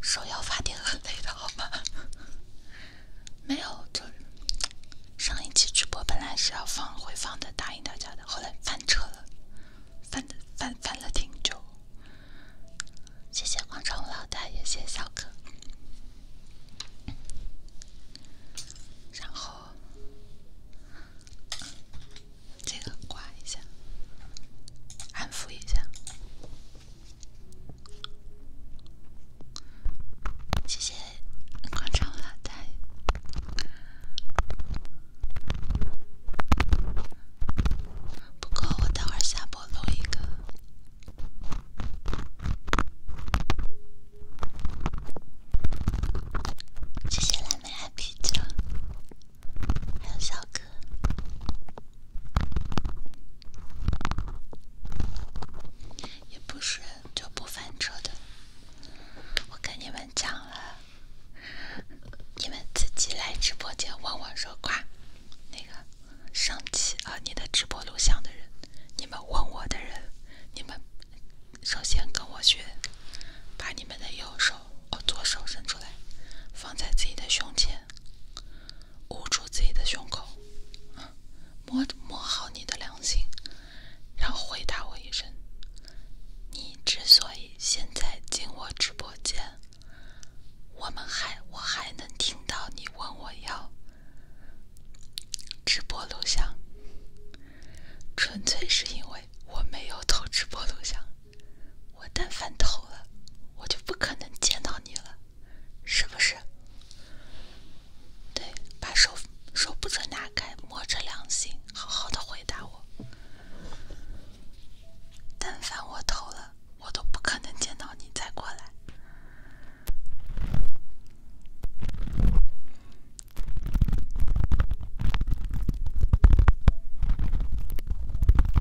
手要发电很累的好吗？没有，就上一期直播本来是要放回放的，答应大家的，后来翻车了，翻的翻翻了挺久。谢谢广场舞老大爷，谢谢小可，然后这个刮一下，安抚一下。谢谢广场老大，不过我待会儿下播录一个。谢谢蓝莓爱啤酒。还有小哥，也不是就不翻车的。我跟你们讲了，你们自己来直播间问我说话，那个上期啊，你的直播录像的人，你们问我的人，你们首先跟我学，把你们的右手哦，左手伸出来，放在自己的胸前。捂住自己的胸口，摸摸好你的良心，然后回答我一声：你之所以现在进我直播间，我们还我还能听到你问我要直播录像，纯粹是因为我没有偷直播录像。我但凡偷了，我就不可能见到你了，是不是？对，把手手不准拿开，摸着良心，好好的回答我。但凡我偷了，我都不可能见到你再过来。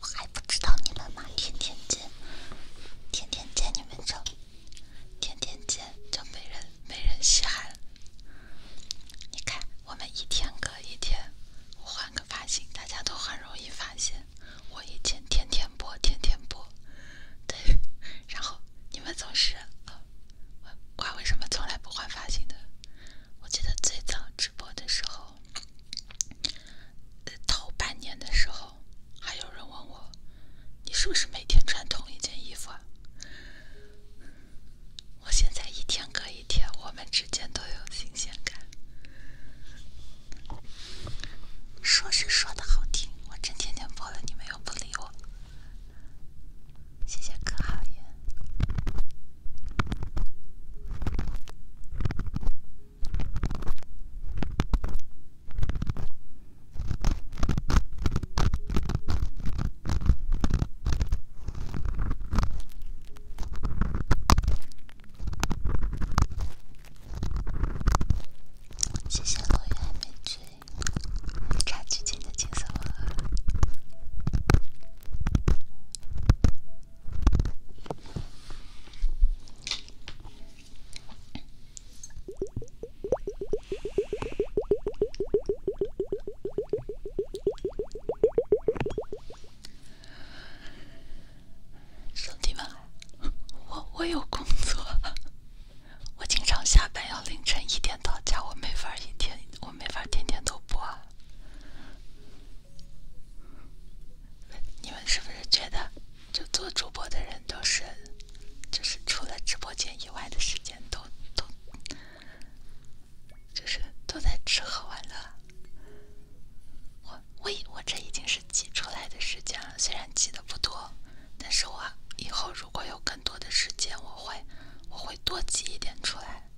我还不知道你们吗？天天见，天天见你们就天天见就没人没人稀罕。你看，我们一天隔一天我换个发型，大家都很容易发现。我以前天天播，天天播，对，然后你们总是，我为什么从来不换发型的？我记得最早直播的时候。头半年的时候，还有人问我，你是不是每天穿同一件衣服啊？我现在一天隔一天，我们之间都有新鲜感。说是说的好听，我真天天播了，你们又不理我。谢谢可好耶。谢谢落雨海美君，差几钱的金色摩尔。兄弟们，我我有工作，我经常下班要凌晨一点到家，我没法一天，我没法天天都播。啊。你们是不是觉得，就做主播的人都是，就是除了直播间以外的时间都都，就是都在吃喝玩乐？我我我这已经是挤出来的时间了，虽然挤的不多，但是我以后如果有更多的时间，我会我会多挤一点出来。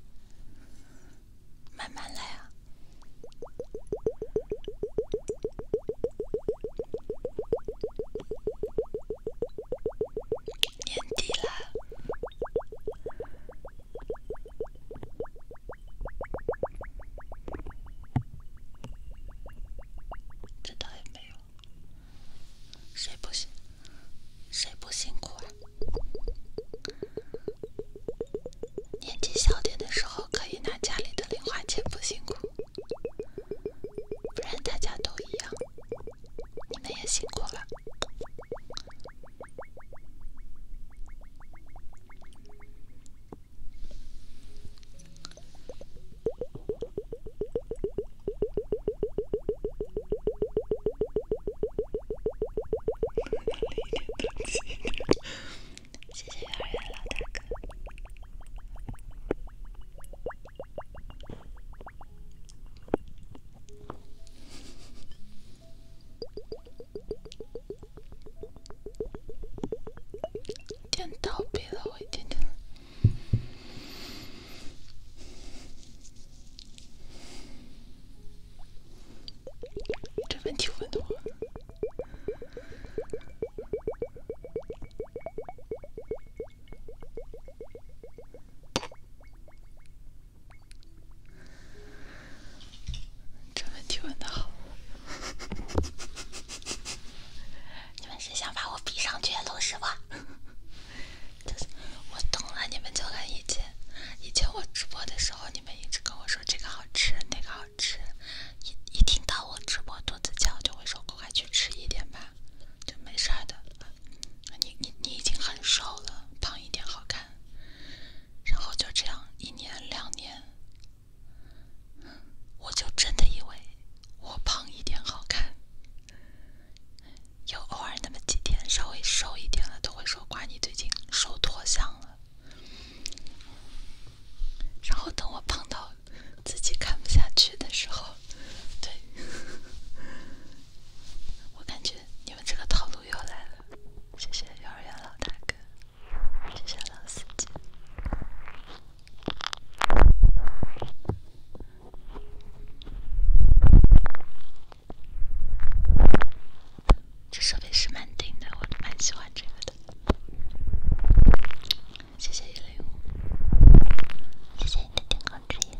慢慢来啊，年底了，这倒也没有，谁不行，谁不辛苦啊？年纪小点的时候，可以拿家里的零花钱，不辛苦。不然大家都一样，你们也辛苦了。谢谢幼儿园老大哥，点到别了我一点。这问题问的我，这问题问的好，你们是想把我逼上绝路是不？我懂了，你们就恨以前，以前我直播的时候，你们一直跟我说这个好吃，那个。好。吃，一一听到我直播肚子叫，就会说：“快去吃一点吧，就没事儿的。”你你你已经很瘦了，胖一点好看。然后就这样一年两年，我就真的以为我胖一点好看。有偶尔那么几天稍微瘦一点了，都会说：“哇，你最近瘦脱相了。”然后等我胖到自己看不下去的时候，对，我感觉你们这个套路又来了。谢谢幼儿园老大哥，谢谢老司机。这设备是蛮顶的，我蛮喜欢这个的。谢谢一零五，谢谢你的点光之眼。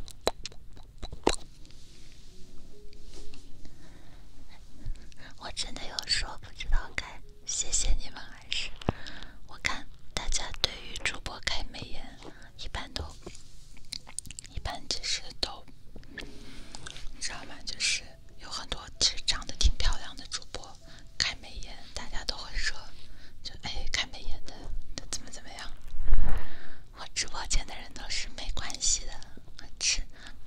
我真的有说不知道该谢谢你们还是。我看大家对于主播开美颜，一般都，一般就是都，知道吗？就是。有很多其实长得挺漂亮的主播开美颜，大家都会说：‘就哎，开美颜的怎么怎么样？我直播间的人都是没关系的，吃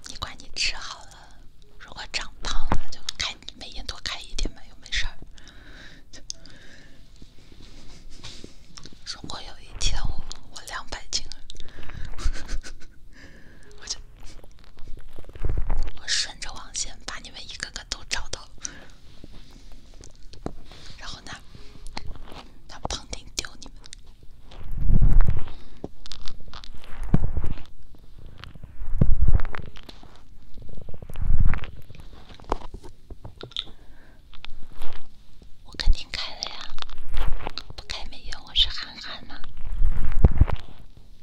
你管你吃好了。如果长胖了就开美颜多开一点嘛，又没事儿。如果有一天我两百斤了。我就顺着网线把你们一个个都找到，了，然后呢，那胖丁丢你们，我肯定开了呀，不开美用，我是憨憨呢。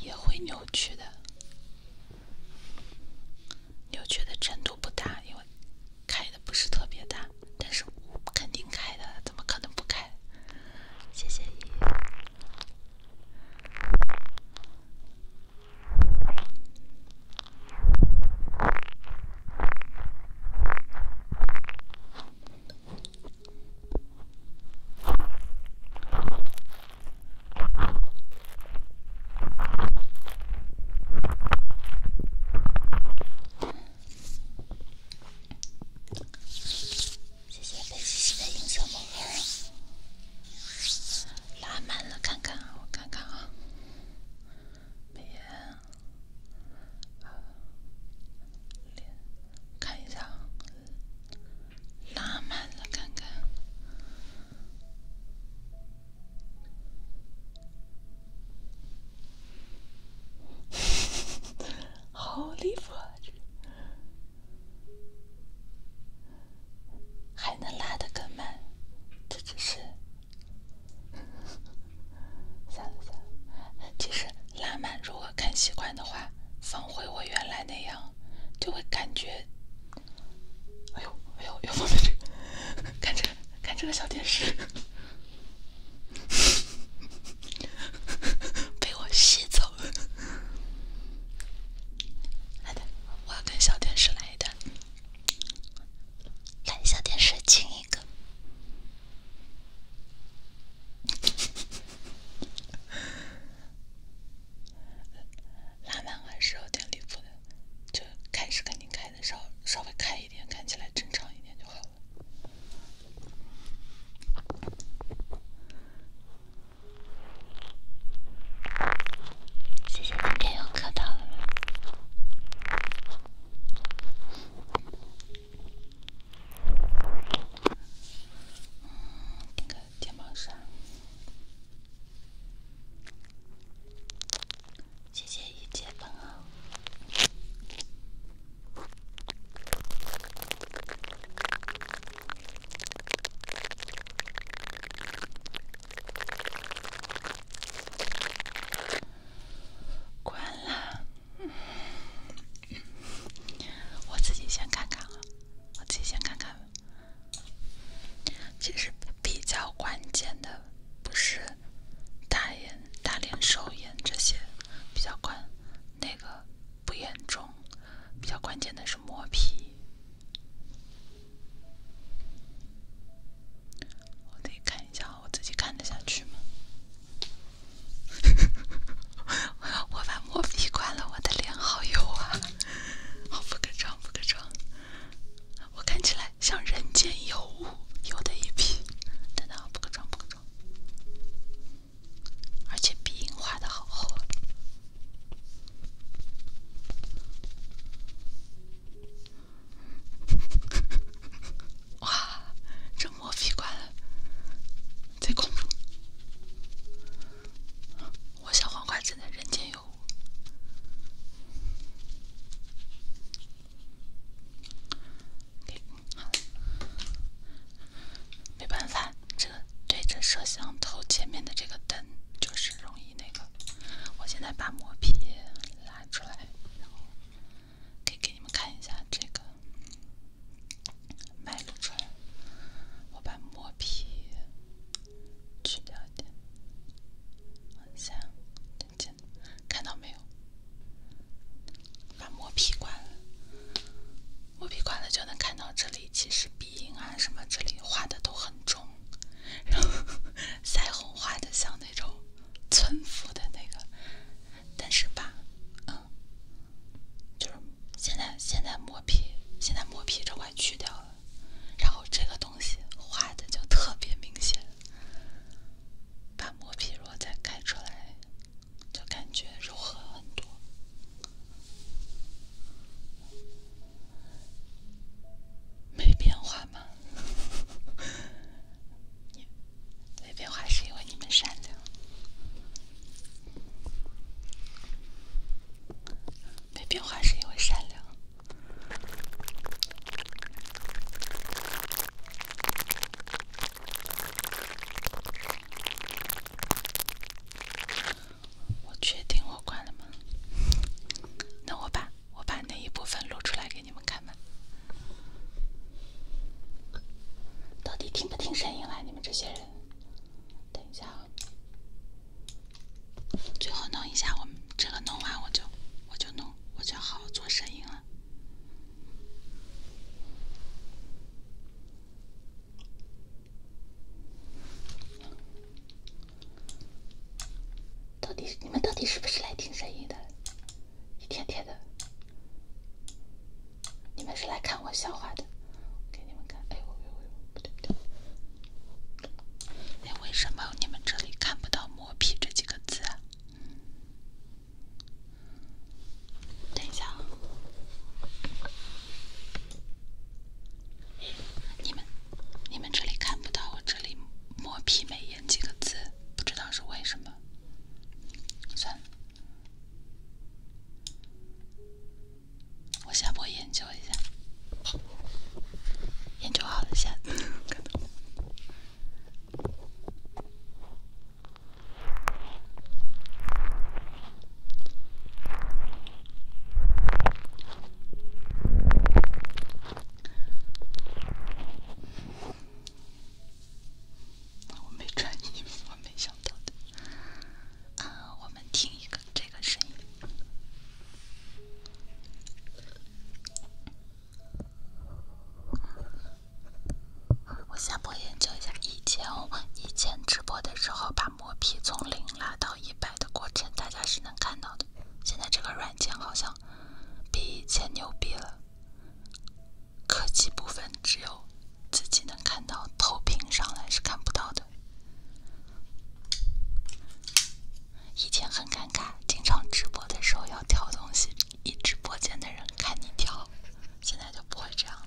也会扭曲的，扭曲的程度不大，因为开的不是特别大。但是我肯定开的，怎么可能不开？谢谢姨。谢谢贝西西的银色毛绒，拉满了看看啊，我看看啊，一、二、三，看一下啊。拉慢了，看看。Holy 还能拉得更慢？这只是其实拉慢，如果看习惯的话，放回我原来那样。就会感觉，哎呦哎呦，要放在这，看这看这个小电视，被我吸走了。来，我要跟小电视来一段，来，小电视亲一个。拉满还是有点离谱的，就开始肯定开的稍稍微开一点，看起来正常一点就好了。肩膀上谢谢一切朋友关了我自己先看看了，我自己先看看。其实比较关键的不是大眼、大脸、瘦眼这些，比较关那个不严重。比较关键的是磨皮。我得看一下，我自己看得下去吗？我把磨皮关了，我的脸好油啊！我补个妆，补个妆，我看起来像人间油物，油的一批。等等，补个妆，补个妆，而且鼻影画的好厚。啊。哇，这磨皮关了。这个我小黄瓜的人间有。我。没办法，这对着摄像头前面的这个灯就是容易那个。我现在把磨皮拉出来，然后可以给你们看一下这个。麦出来，我把磨皮去掉一点，往下点点，看到没有？把磨皮关了，磨皮关了就能看到这里，其实鼻影啊什么这里画的都很重，然后腮红画的像那种村妇的那个，但是吧，嗯，就是现在现在磨。磨皮现在磨皮这块去掉了，然后这个东西画的就特别明显。把磨皮如果再盖出来，就感觉柔和很多。没变化吗？没变化是因为你们善良。没变化是因为善良。我确定我关了吗？那我把我把那一部分录出来给你们看吧。到底听不听声音来，你们这些人，等一下啊！最后弄一下，我们这个弄完我就我就弄，我就好做声音了。到底你们到底是不是来听声音的？一天天的，你们是来看我笑话的。给你们看，哎呦哎呦哎呦，不对对。哎，为什么你们这里看不到“磨皮”这几个字？等一下，你们你们这里看不到我这里“磨皮美颜”几个字，不知道是为什么。算了。我下播研究一下，研究好了下。看我没穿衣服，没想到的。啊，我们听一个这个声音。我下播研究一下以前以前直播的时候把磨皮从零拉到一百的过程，大家是能看到的。现在这个软件好像比以前牛逼了，科技部分只有自己能看到，投屏上来是看不到的。以前很尴尬，经常直播的时候要挑东西，一直播间的人看你挑，现在就不会这样了。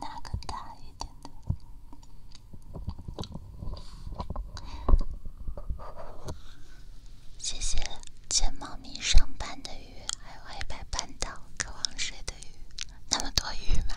那个大一点的。谢谢，见猫咪上班的。还有黑白斑岛，渴望水的鱼，那么多鱼吗？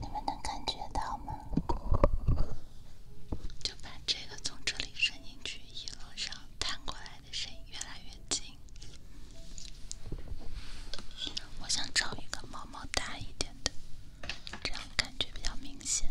你们能感觉到吗？就把这个从这里伸进去，一路上弹过来的声音越来越近。我想找一个毛毛大一点的，这样感觉比较明显。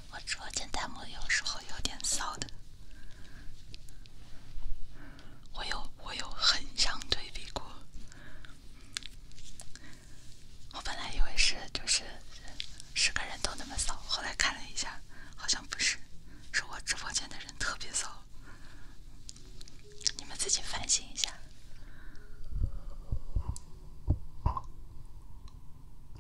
我直播间弹幕有时候有点骚的，我有我有横向对比过，我本来以为是就是是个人都那么骚，后来看了一下，好像不是，是我直播间的人特别骚，你们自己反省一下。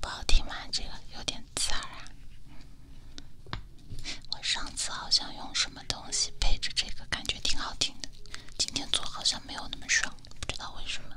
不好听吗？这个有点刺耳啊。我上次好像用什么东西配着这个，感觉挺好听的。今天做好像没有那么爽，不知道为什么。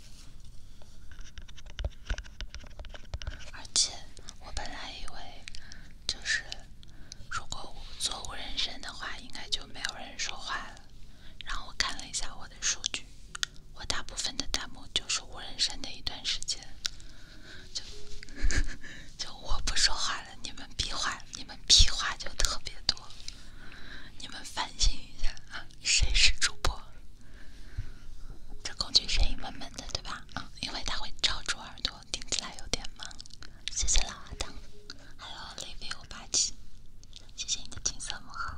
而且，我本来以为就是，如果我做无人声的话，应该就没有人说话了。然后我看了一下我的数据，我大部分的弹幕就是无人声的一段时间，就 就我不说话了，你们屁话，你们屁话就特别多，你们反省一下啊，谁是主播？这工具声音闷闷的，对吧？啊，因为它会罩住耳朵，听起来有点闷。谢谢老阿当，Hello Livy，我霸气，谢谢你的金色魔盒。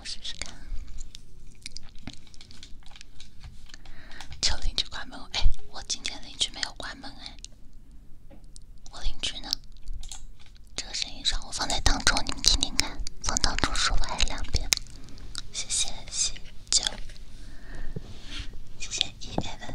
我试试看，求邻居关门。哎，我今天邻居没有关门哎。我邻居呢？这个声音爽，我放在当中，你们听听看。放当中舒服还是两边？谢谢十九，谢谢一 evan。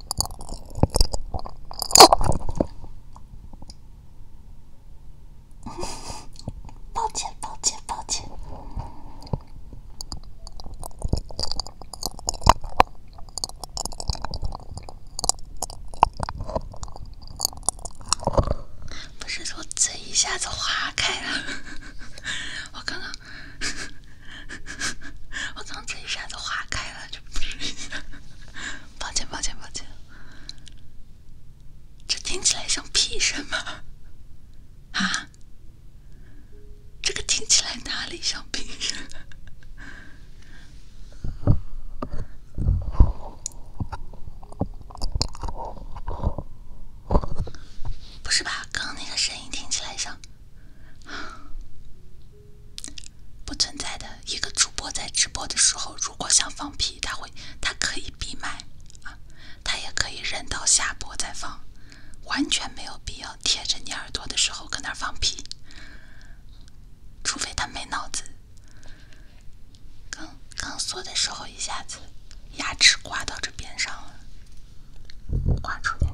抱歉，抱歉，抱歉。不是说嘴一下子划开了？我刚刚，我刚刚嘴一下子划开。就不是，抱歉，抱歉，抱歉，这听起来像屁声吗？啊，这个听起来哪里像屁声？不是吧？刚那个声音听起来像……不存在的，一个主播在直播的时候，如果想放屁，他会，他可以闭麦啊，他也可以忍到下播再放，完全没有必要贴着你耳朵的时候搁那放屁，除非他没脑子。刚刚缩的时候一下子牙齿刮到这边上了，刮出点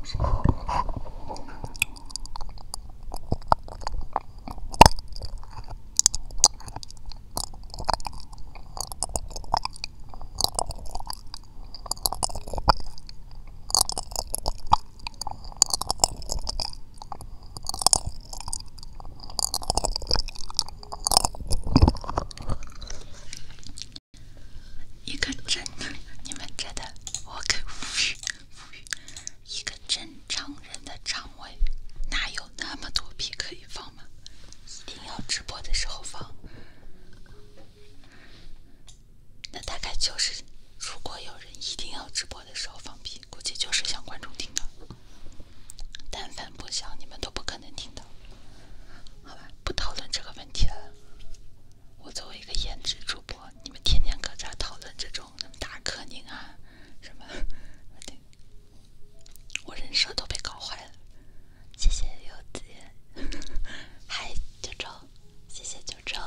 一个真的，你们觉得我可无语无语。一个正常人的肠胃哪有那么多屁可以放嘛？一定要直播的时候放，那大概就是，如果有人一定要直播的时候放屁，估计就是想观众听到。但凡不想，你们都不可能听到。好吧，不讨论这个问题了。我作为一个颜值主播，你们天天搁这讨论这种。什么大可宁啊？什么？我人设都被搞坏了。谢谢柚子，嗨九州，谢谢九州。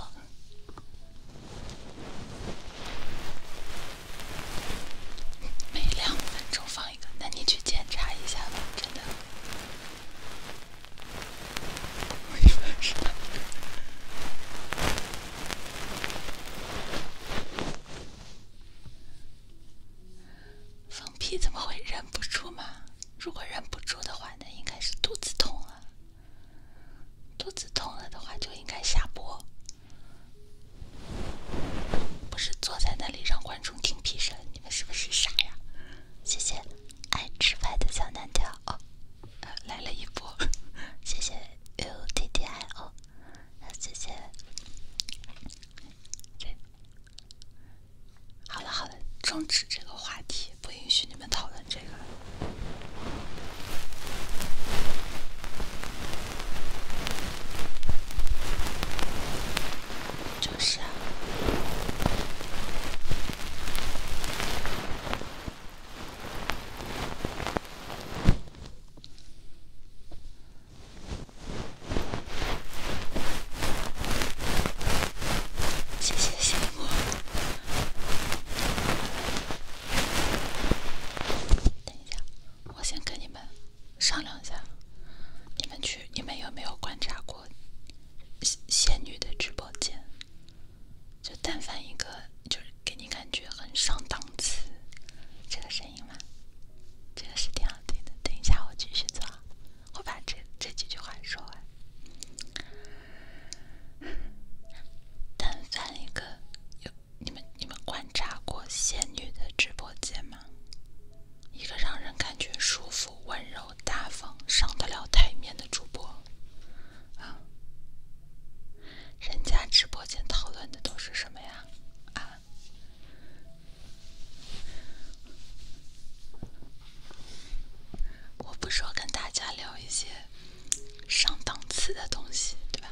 每两分钟放一个，那你去检查一下吧，真的。没事。放屁怎么会忍不住嘛？如果忍不住的话，那应该是肚子痛了。肚子痛了的话，就应该下播。不是坐在那里让观众听屁声，你们是不是傻呀？谢谢爱吃饭的小南条哦。来了一波，谢谢 U T d I O，谢谢。好了好了，终止这个话题，不允许你们讨论这个。就是。谢谢谢姑。等一下，我先跟你们商量一下。你们去，你们有没有观察过仙仙女的直播间？就但凡一个，就是给你感觉很上档次，这个声音吗？这个是挺好听的。等一下，我继续做，我把这这几句话说完。但凡一个，有你们你们观察过仙女的直播间吗？一个让人感觉舒服、温柔、大方、上得了台面的主播啊。人家直播间讨论的都是什么呀？啊，我不说跟大家聊一些上档次的东西，对吧？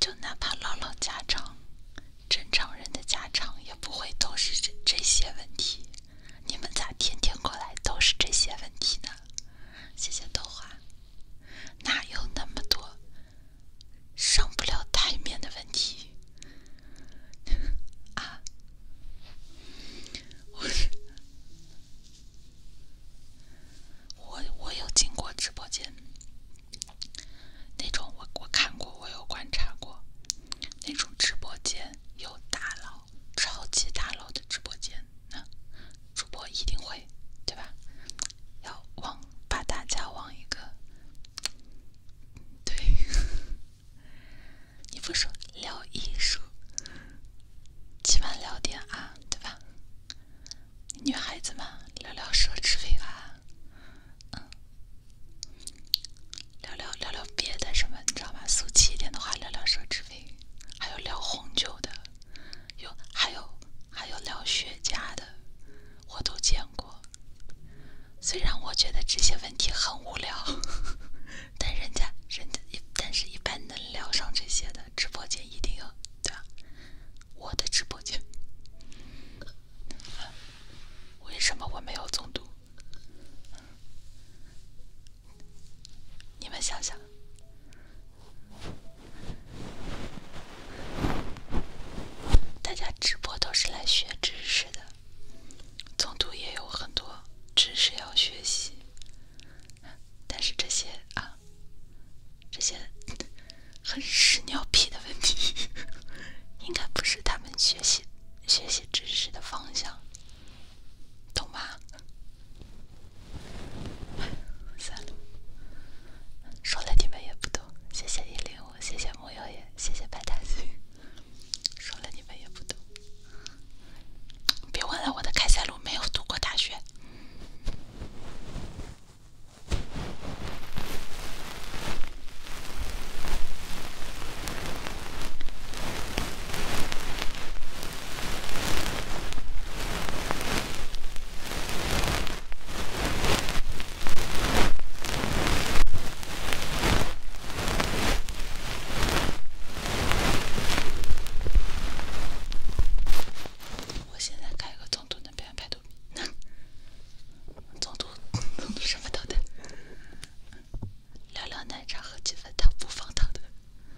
就哪怕唠唠家常，正常人的家常也不会都是这些问题。你们咋天天过来都是这些问题呢？谢谢豆花。哪有那么多上不了台面的问题啊？我我，我有进过直播间，那种我我看过，我有观察过，那种直播间有大佬、超级大佬的直播间。那主播一定会，对吧？要往把大家往一个，对，你不说聊艺术，起码聊点啊，对吧？女孩子嘛，聊聊奢侈品啊，嗯，聊聊聊聊别的什么，你知道吗？俗气一点的话，聊聊奢侈品，还有聊红酒的，有还有。还有聊雪茄的，我都见过。虽然我觉得这些问题很无聊，但人家人家一，但是一般能聊上这些的直播间，一定要对吧？我的直播间，为什么我没有中毒？你们想想。大家直播都是来学知识的，总督也有很多知识要学习，但是这些啊，这些很屎尿屁的问题，应该不是他们学习学习知识的方向，懂吗？算了，说了你们也不懂。谢谢一零五，谢谢木妖也，谢谢白太君。说了你们也不懂，别忘了，我的开塞鲁没有读过大学。我现在开个总的表边排毒那总督总督什么头的？聊聊奶茶和几粉汤不放糖的。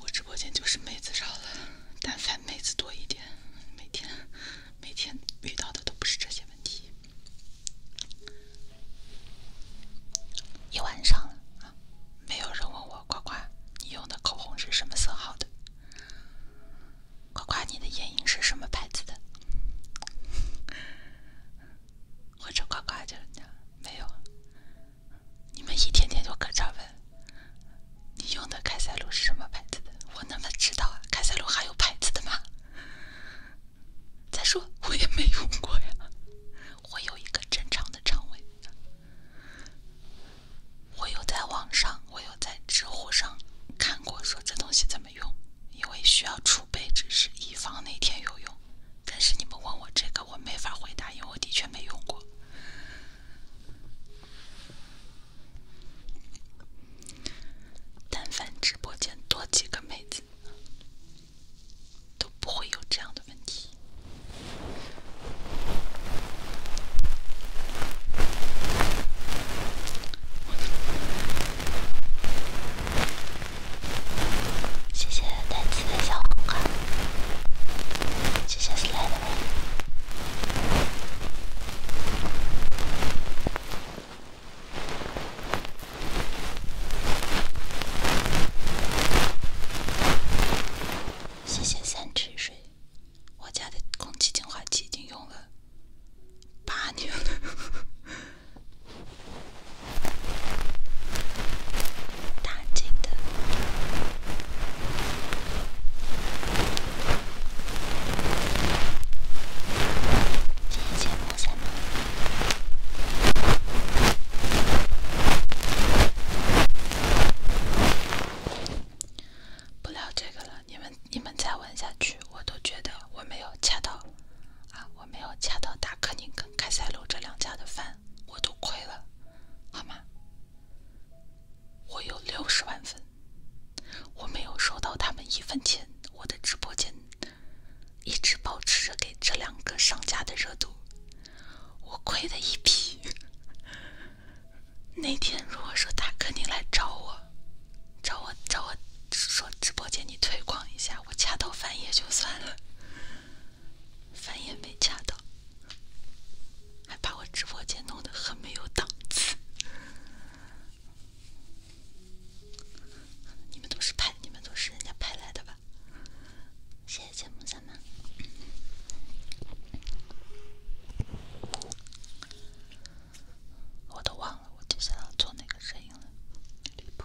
我直播间就是妹子少了，但凡妹子多一点，每天每天遇到的都不是这些问题。一晚上了没有人问我呱呱，你用的口红是什么色号的？呱呱，你的眼影是什么牌子的？或者呱呱叫呢？没有。你们一天天就搁这问，你用的开塞露是什么牌子？的？我那么知道啊？开塞露还有牌子的吗？再说我也没用过呀。我有一个正常的肠胃。我有在网上，我有在知乎上看过，说这东西怎么用，因为需要储备知识，以防哪天有用。但是你们问我这个，我没法回答，因为我的确没用过。但凡直播间多几个妹子，都不会有这样的问题。谢谢带刺的小黄瓜，谢谢 Slyder，谢谢三池水，我家的空气净化器已经用了八年了。打击的，不聊这个了，你们你们再问下去，我都觉得我没有恰到啊我。没有恰到达克宁跟开塞露这两家的饭，我都亏了，好吗？我有六十万粉，我没有收到他们一分钱，我的直播间一直保持着给这两个商家的热度，我亏的一批。那天如果说达克宁来找我，找我找我。说直播间你推广一下，我掐到翻页就算了，翻页没掐到，还把我直播间弄得很没有档次。你们都是拍，你们都是人家拍来的吧？谢谢节目三们。我都忘了我接下来要做哪个声音了，离谱。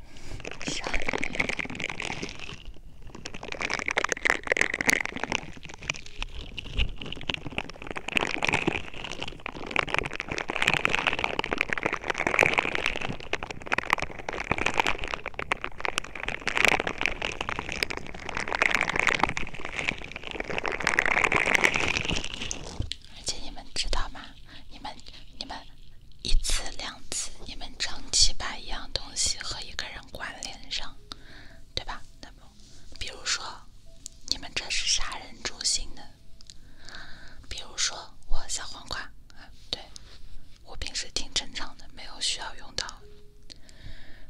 而且你们知道吗？你们，你们。一次两次，你们长期把一样东西和一个人关联上，对吧？那不，比如说，你们这是杀人诛心的。比如说，我小黄瓜，对，我平时挺正常的，没有需要用到，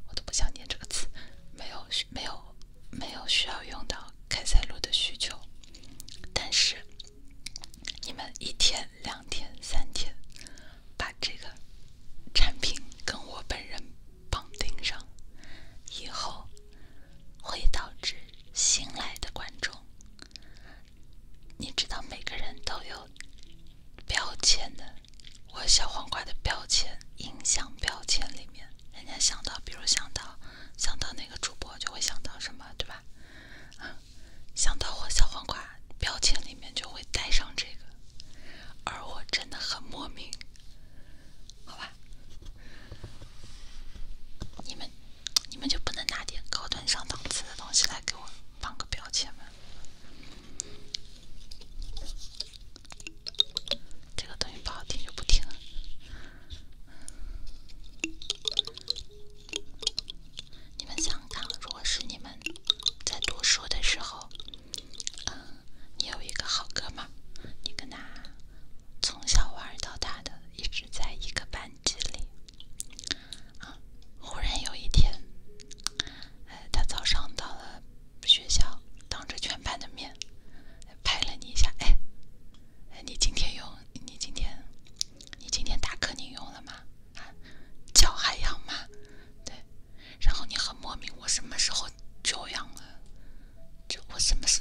我都不想念这个词，没有，没有，没有需要用到开塞露的需求，但是你们一天。两天三天，把这个产品跟我本人绑定上，以后会导致新来的观众，你知道每个人都有标签的，我小黄瓜的标签，印象标签里面，人家想到，比如想到想到那个主播，就会想到什么，对吧？嗯。想到我小黄瓜标签里面就会带上这个，而我真的很莫名，好吧？你们你们就不能拿点高端上档次的东西来给我放个标签吗？这个东西不好听就不听了。你们想想，如果是你们在读书的时候，嗯，你有一个好哥们，儿，你跟他从小玩到大的，一直在一个班级里，啊，忽然有一天，呃，他早上到了学校，当着全班的面拍了你一下，哎，你今天有，你今天。你今天打课宁用了吗？脚还痒吗？对，然后你很莫名，我什么时候脚痒了？就我什么时？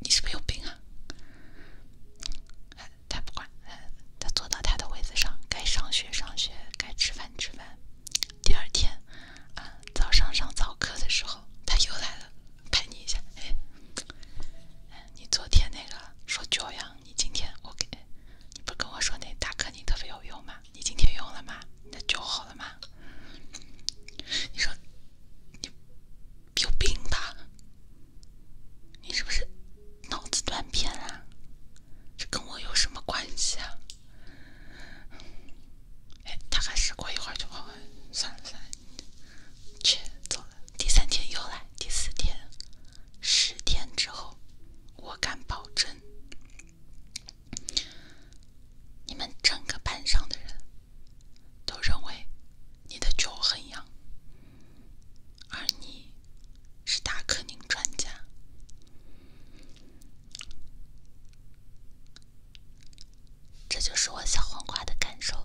你是不是有病啊？他不管，他坐到他的位子上，该上学上学，该吃饭吃饭。第二天，啊，早上上早课的时候，他又来了，拍你一下，哎，你昨天那个说脚痒。你今天我给你不跟我说那大哥你特别有用吗？你今天用了吗？你的酒好了吗？你说你有病吧？你是不是脑子断片啊？这跟我有什么关系啊？哎，大概是过一会儿就好，算了算了，切，走了。第三天又来，第四天。十天之后，我敢保证，你们整个班上的人都认为你的脚很痒，而你是大克宁专家。这就是我小黄瓜的感受。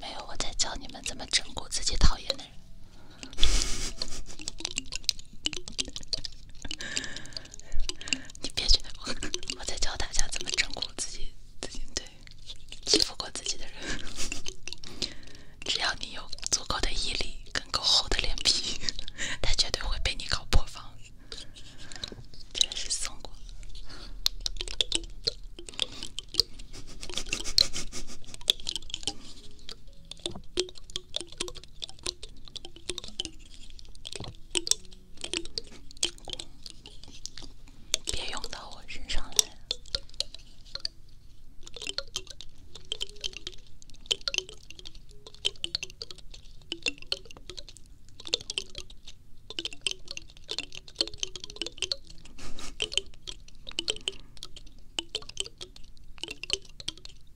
没有，我在教你们怎么整蛊自己讨厌的人。你别觉得我在教大家怎么掌控自己，自己对欺负过自己的人，只要你有足够的毅力跟够厚的脸皮，他绝对会被你搞破防。真是送过。别用到我身上来！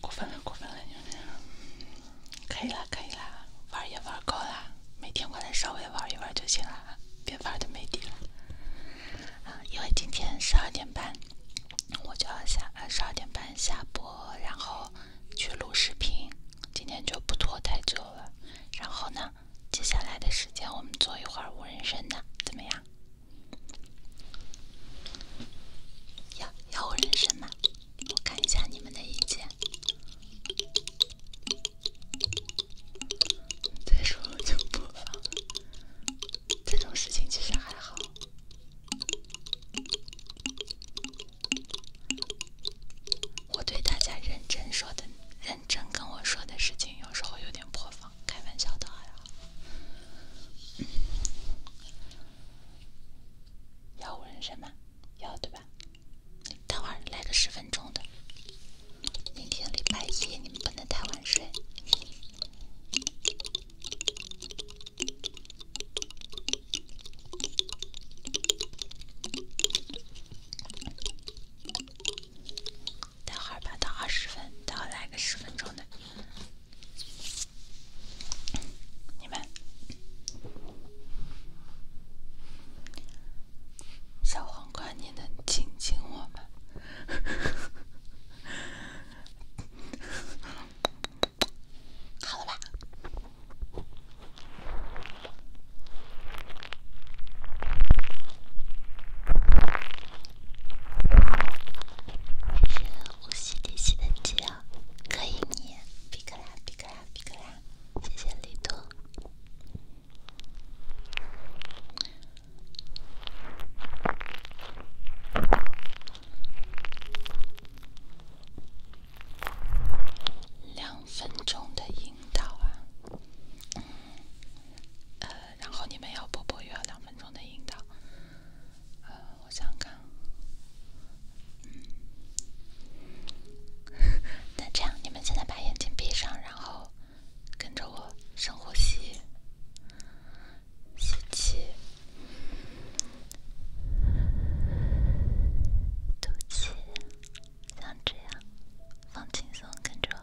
过分了，过分了，妞妞！可以了，可以了，玩也玩够了，每天过来稍微玩一玩就行了，别玩的没底了啊！因为今天十二点半我就要下，十二点半下播，然后去录视频，今天就不拖太久了。然后呢，接下来的时间我们做一会儿无人生的怎么样？要要我认真吗？我看一下你们的意见。再说就播放。这种事情其实还好。我对大家认真说的、认真跟我说的事情，有时候有点破防。开玩笑的，还好。幺五人要嘛，对吧？等会儿来个十分钟的。明天礼拜一，你们不能太晚睡。等会儿吧，到二十分，等再来个十分钟的。你们，小黄瓜，你能亲亲我吗？好了吧。这是呼吸练习的技巧，可以你皮克拉皮克拉皮克拉，谢谢李多。两分钟的引导啊。然后你们要播播要两分钟的引导，我想想看。那这样，你们现在把眼睛闭上，然后跟着我深呼吸，吸气，吐气，像这样，放轻松，跟着。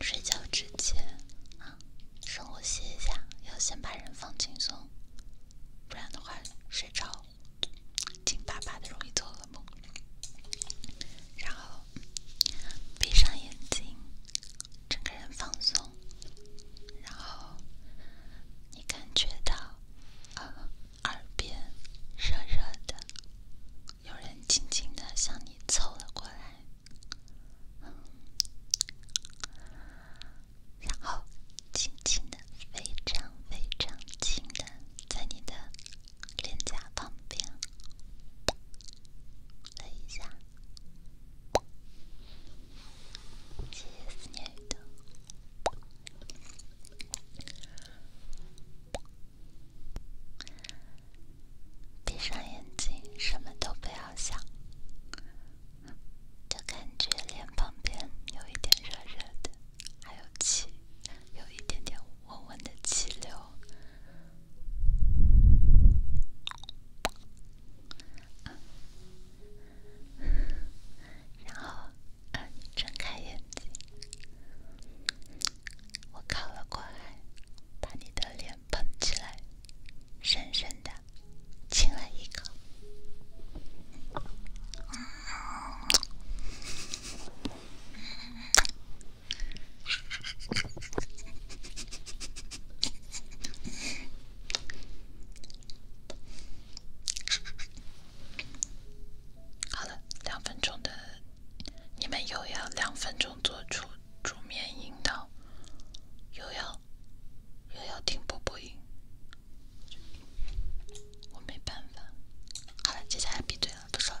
睡觉之前，啊，生活歇一下，要先把人放轻松，不然的话睡着紧巴巴的，容易做噩梦。然后闭上眼睛，整个人放松，然后你感觉到啊。耳边热热的，有人轻轻的向你凑了过来，然后轻轻的、非常非常轻的，在你的脸颊旁边，了一下。谢谢思念闭上眼睛，什么都不要想，就感觉脸旁边有一点热热的，还有气，有一点点温温的气流。然后，呃，睁开眼睛。我靠了过来，把你的脸捧起来，深深的亲了一口。好了，两分钟的，你们又要两分钟做出助面引导，又要又要听波波音，我没办法。好了，接下来闭嘴了，不说。了。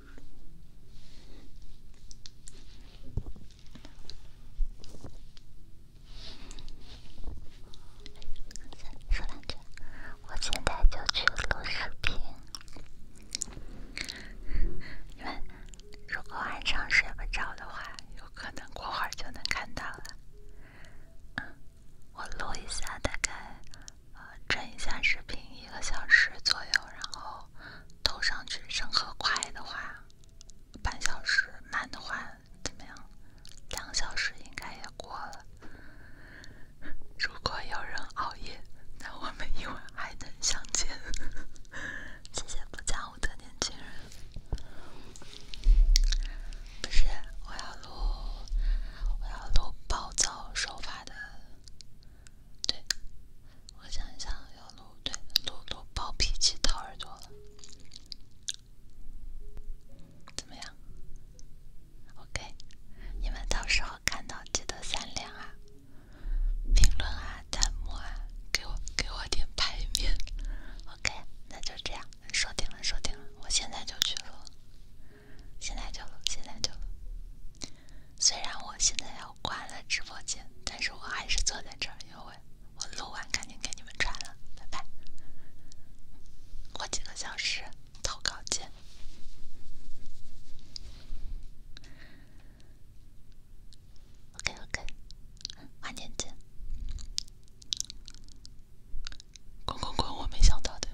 说两句，我现在就去录视频。你们如果晚上睡不着的话，有可能过会儿就能看到了。我录一下，大概呃整一下视频一个小时左右，然后。头上去，审核快的话半小时，慢的话怎么样？两小时应该也过了。如果有人熬夜，那我们一会儿还能相见。谢谢不讲武德年轻人。不是，我要录，我要录暴躁手法的。对，我想一想要录对，露露暴脾气掏耳朵了，怎么样？OK，你们到时候看到记得三连啊，评论啊，弹幕啊，给我给我点排面。OK，那就这样，说定了说定了，我现在就去录，现在就录，现在就。虽然我现在要关了直播间，但是我还是坐在这儿因为我录完赶紧给你们传了，拜拜。过几个小时投稿见。OK OK，晚点见。滚滚滚，我没想到的。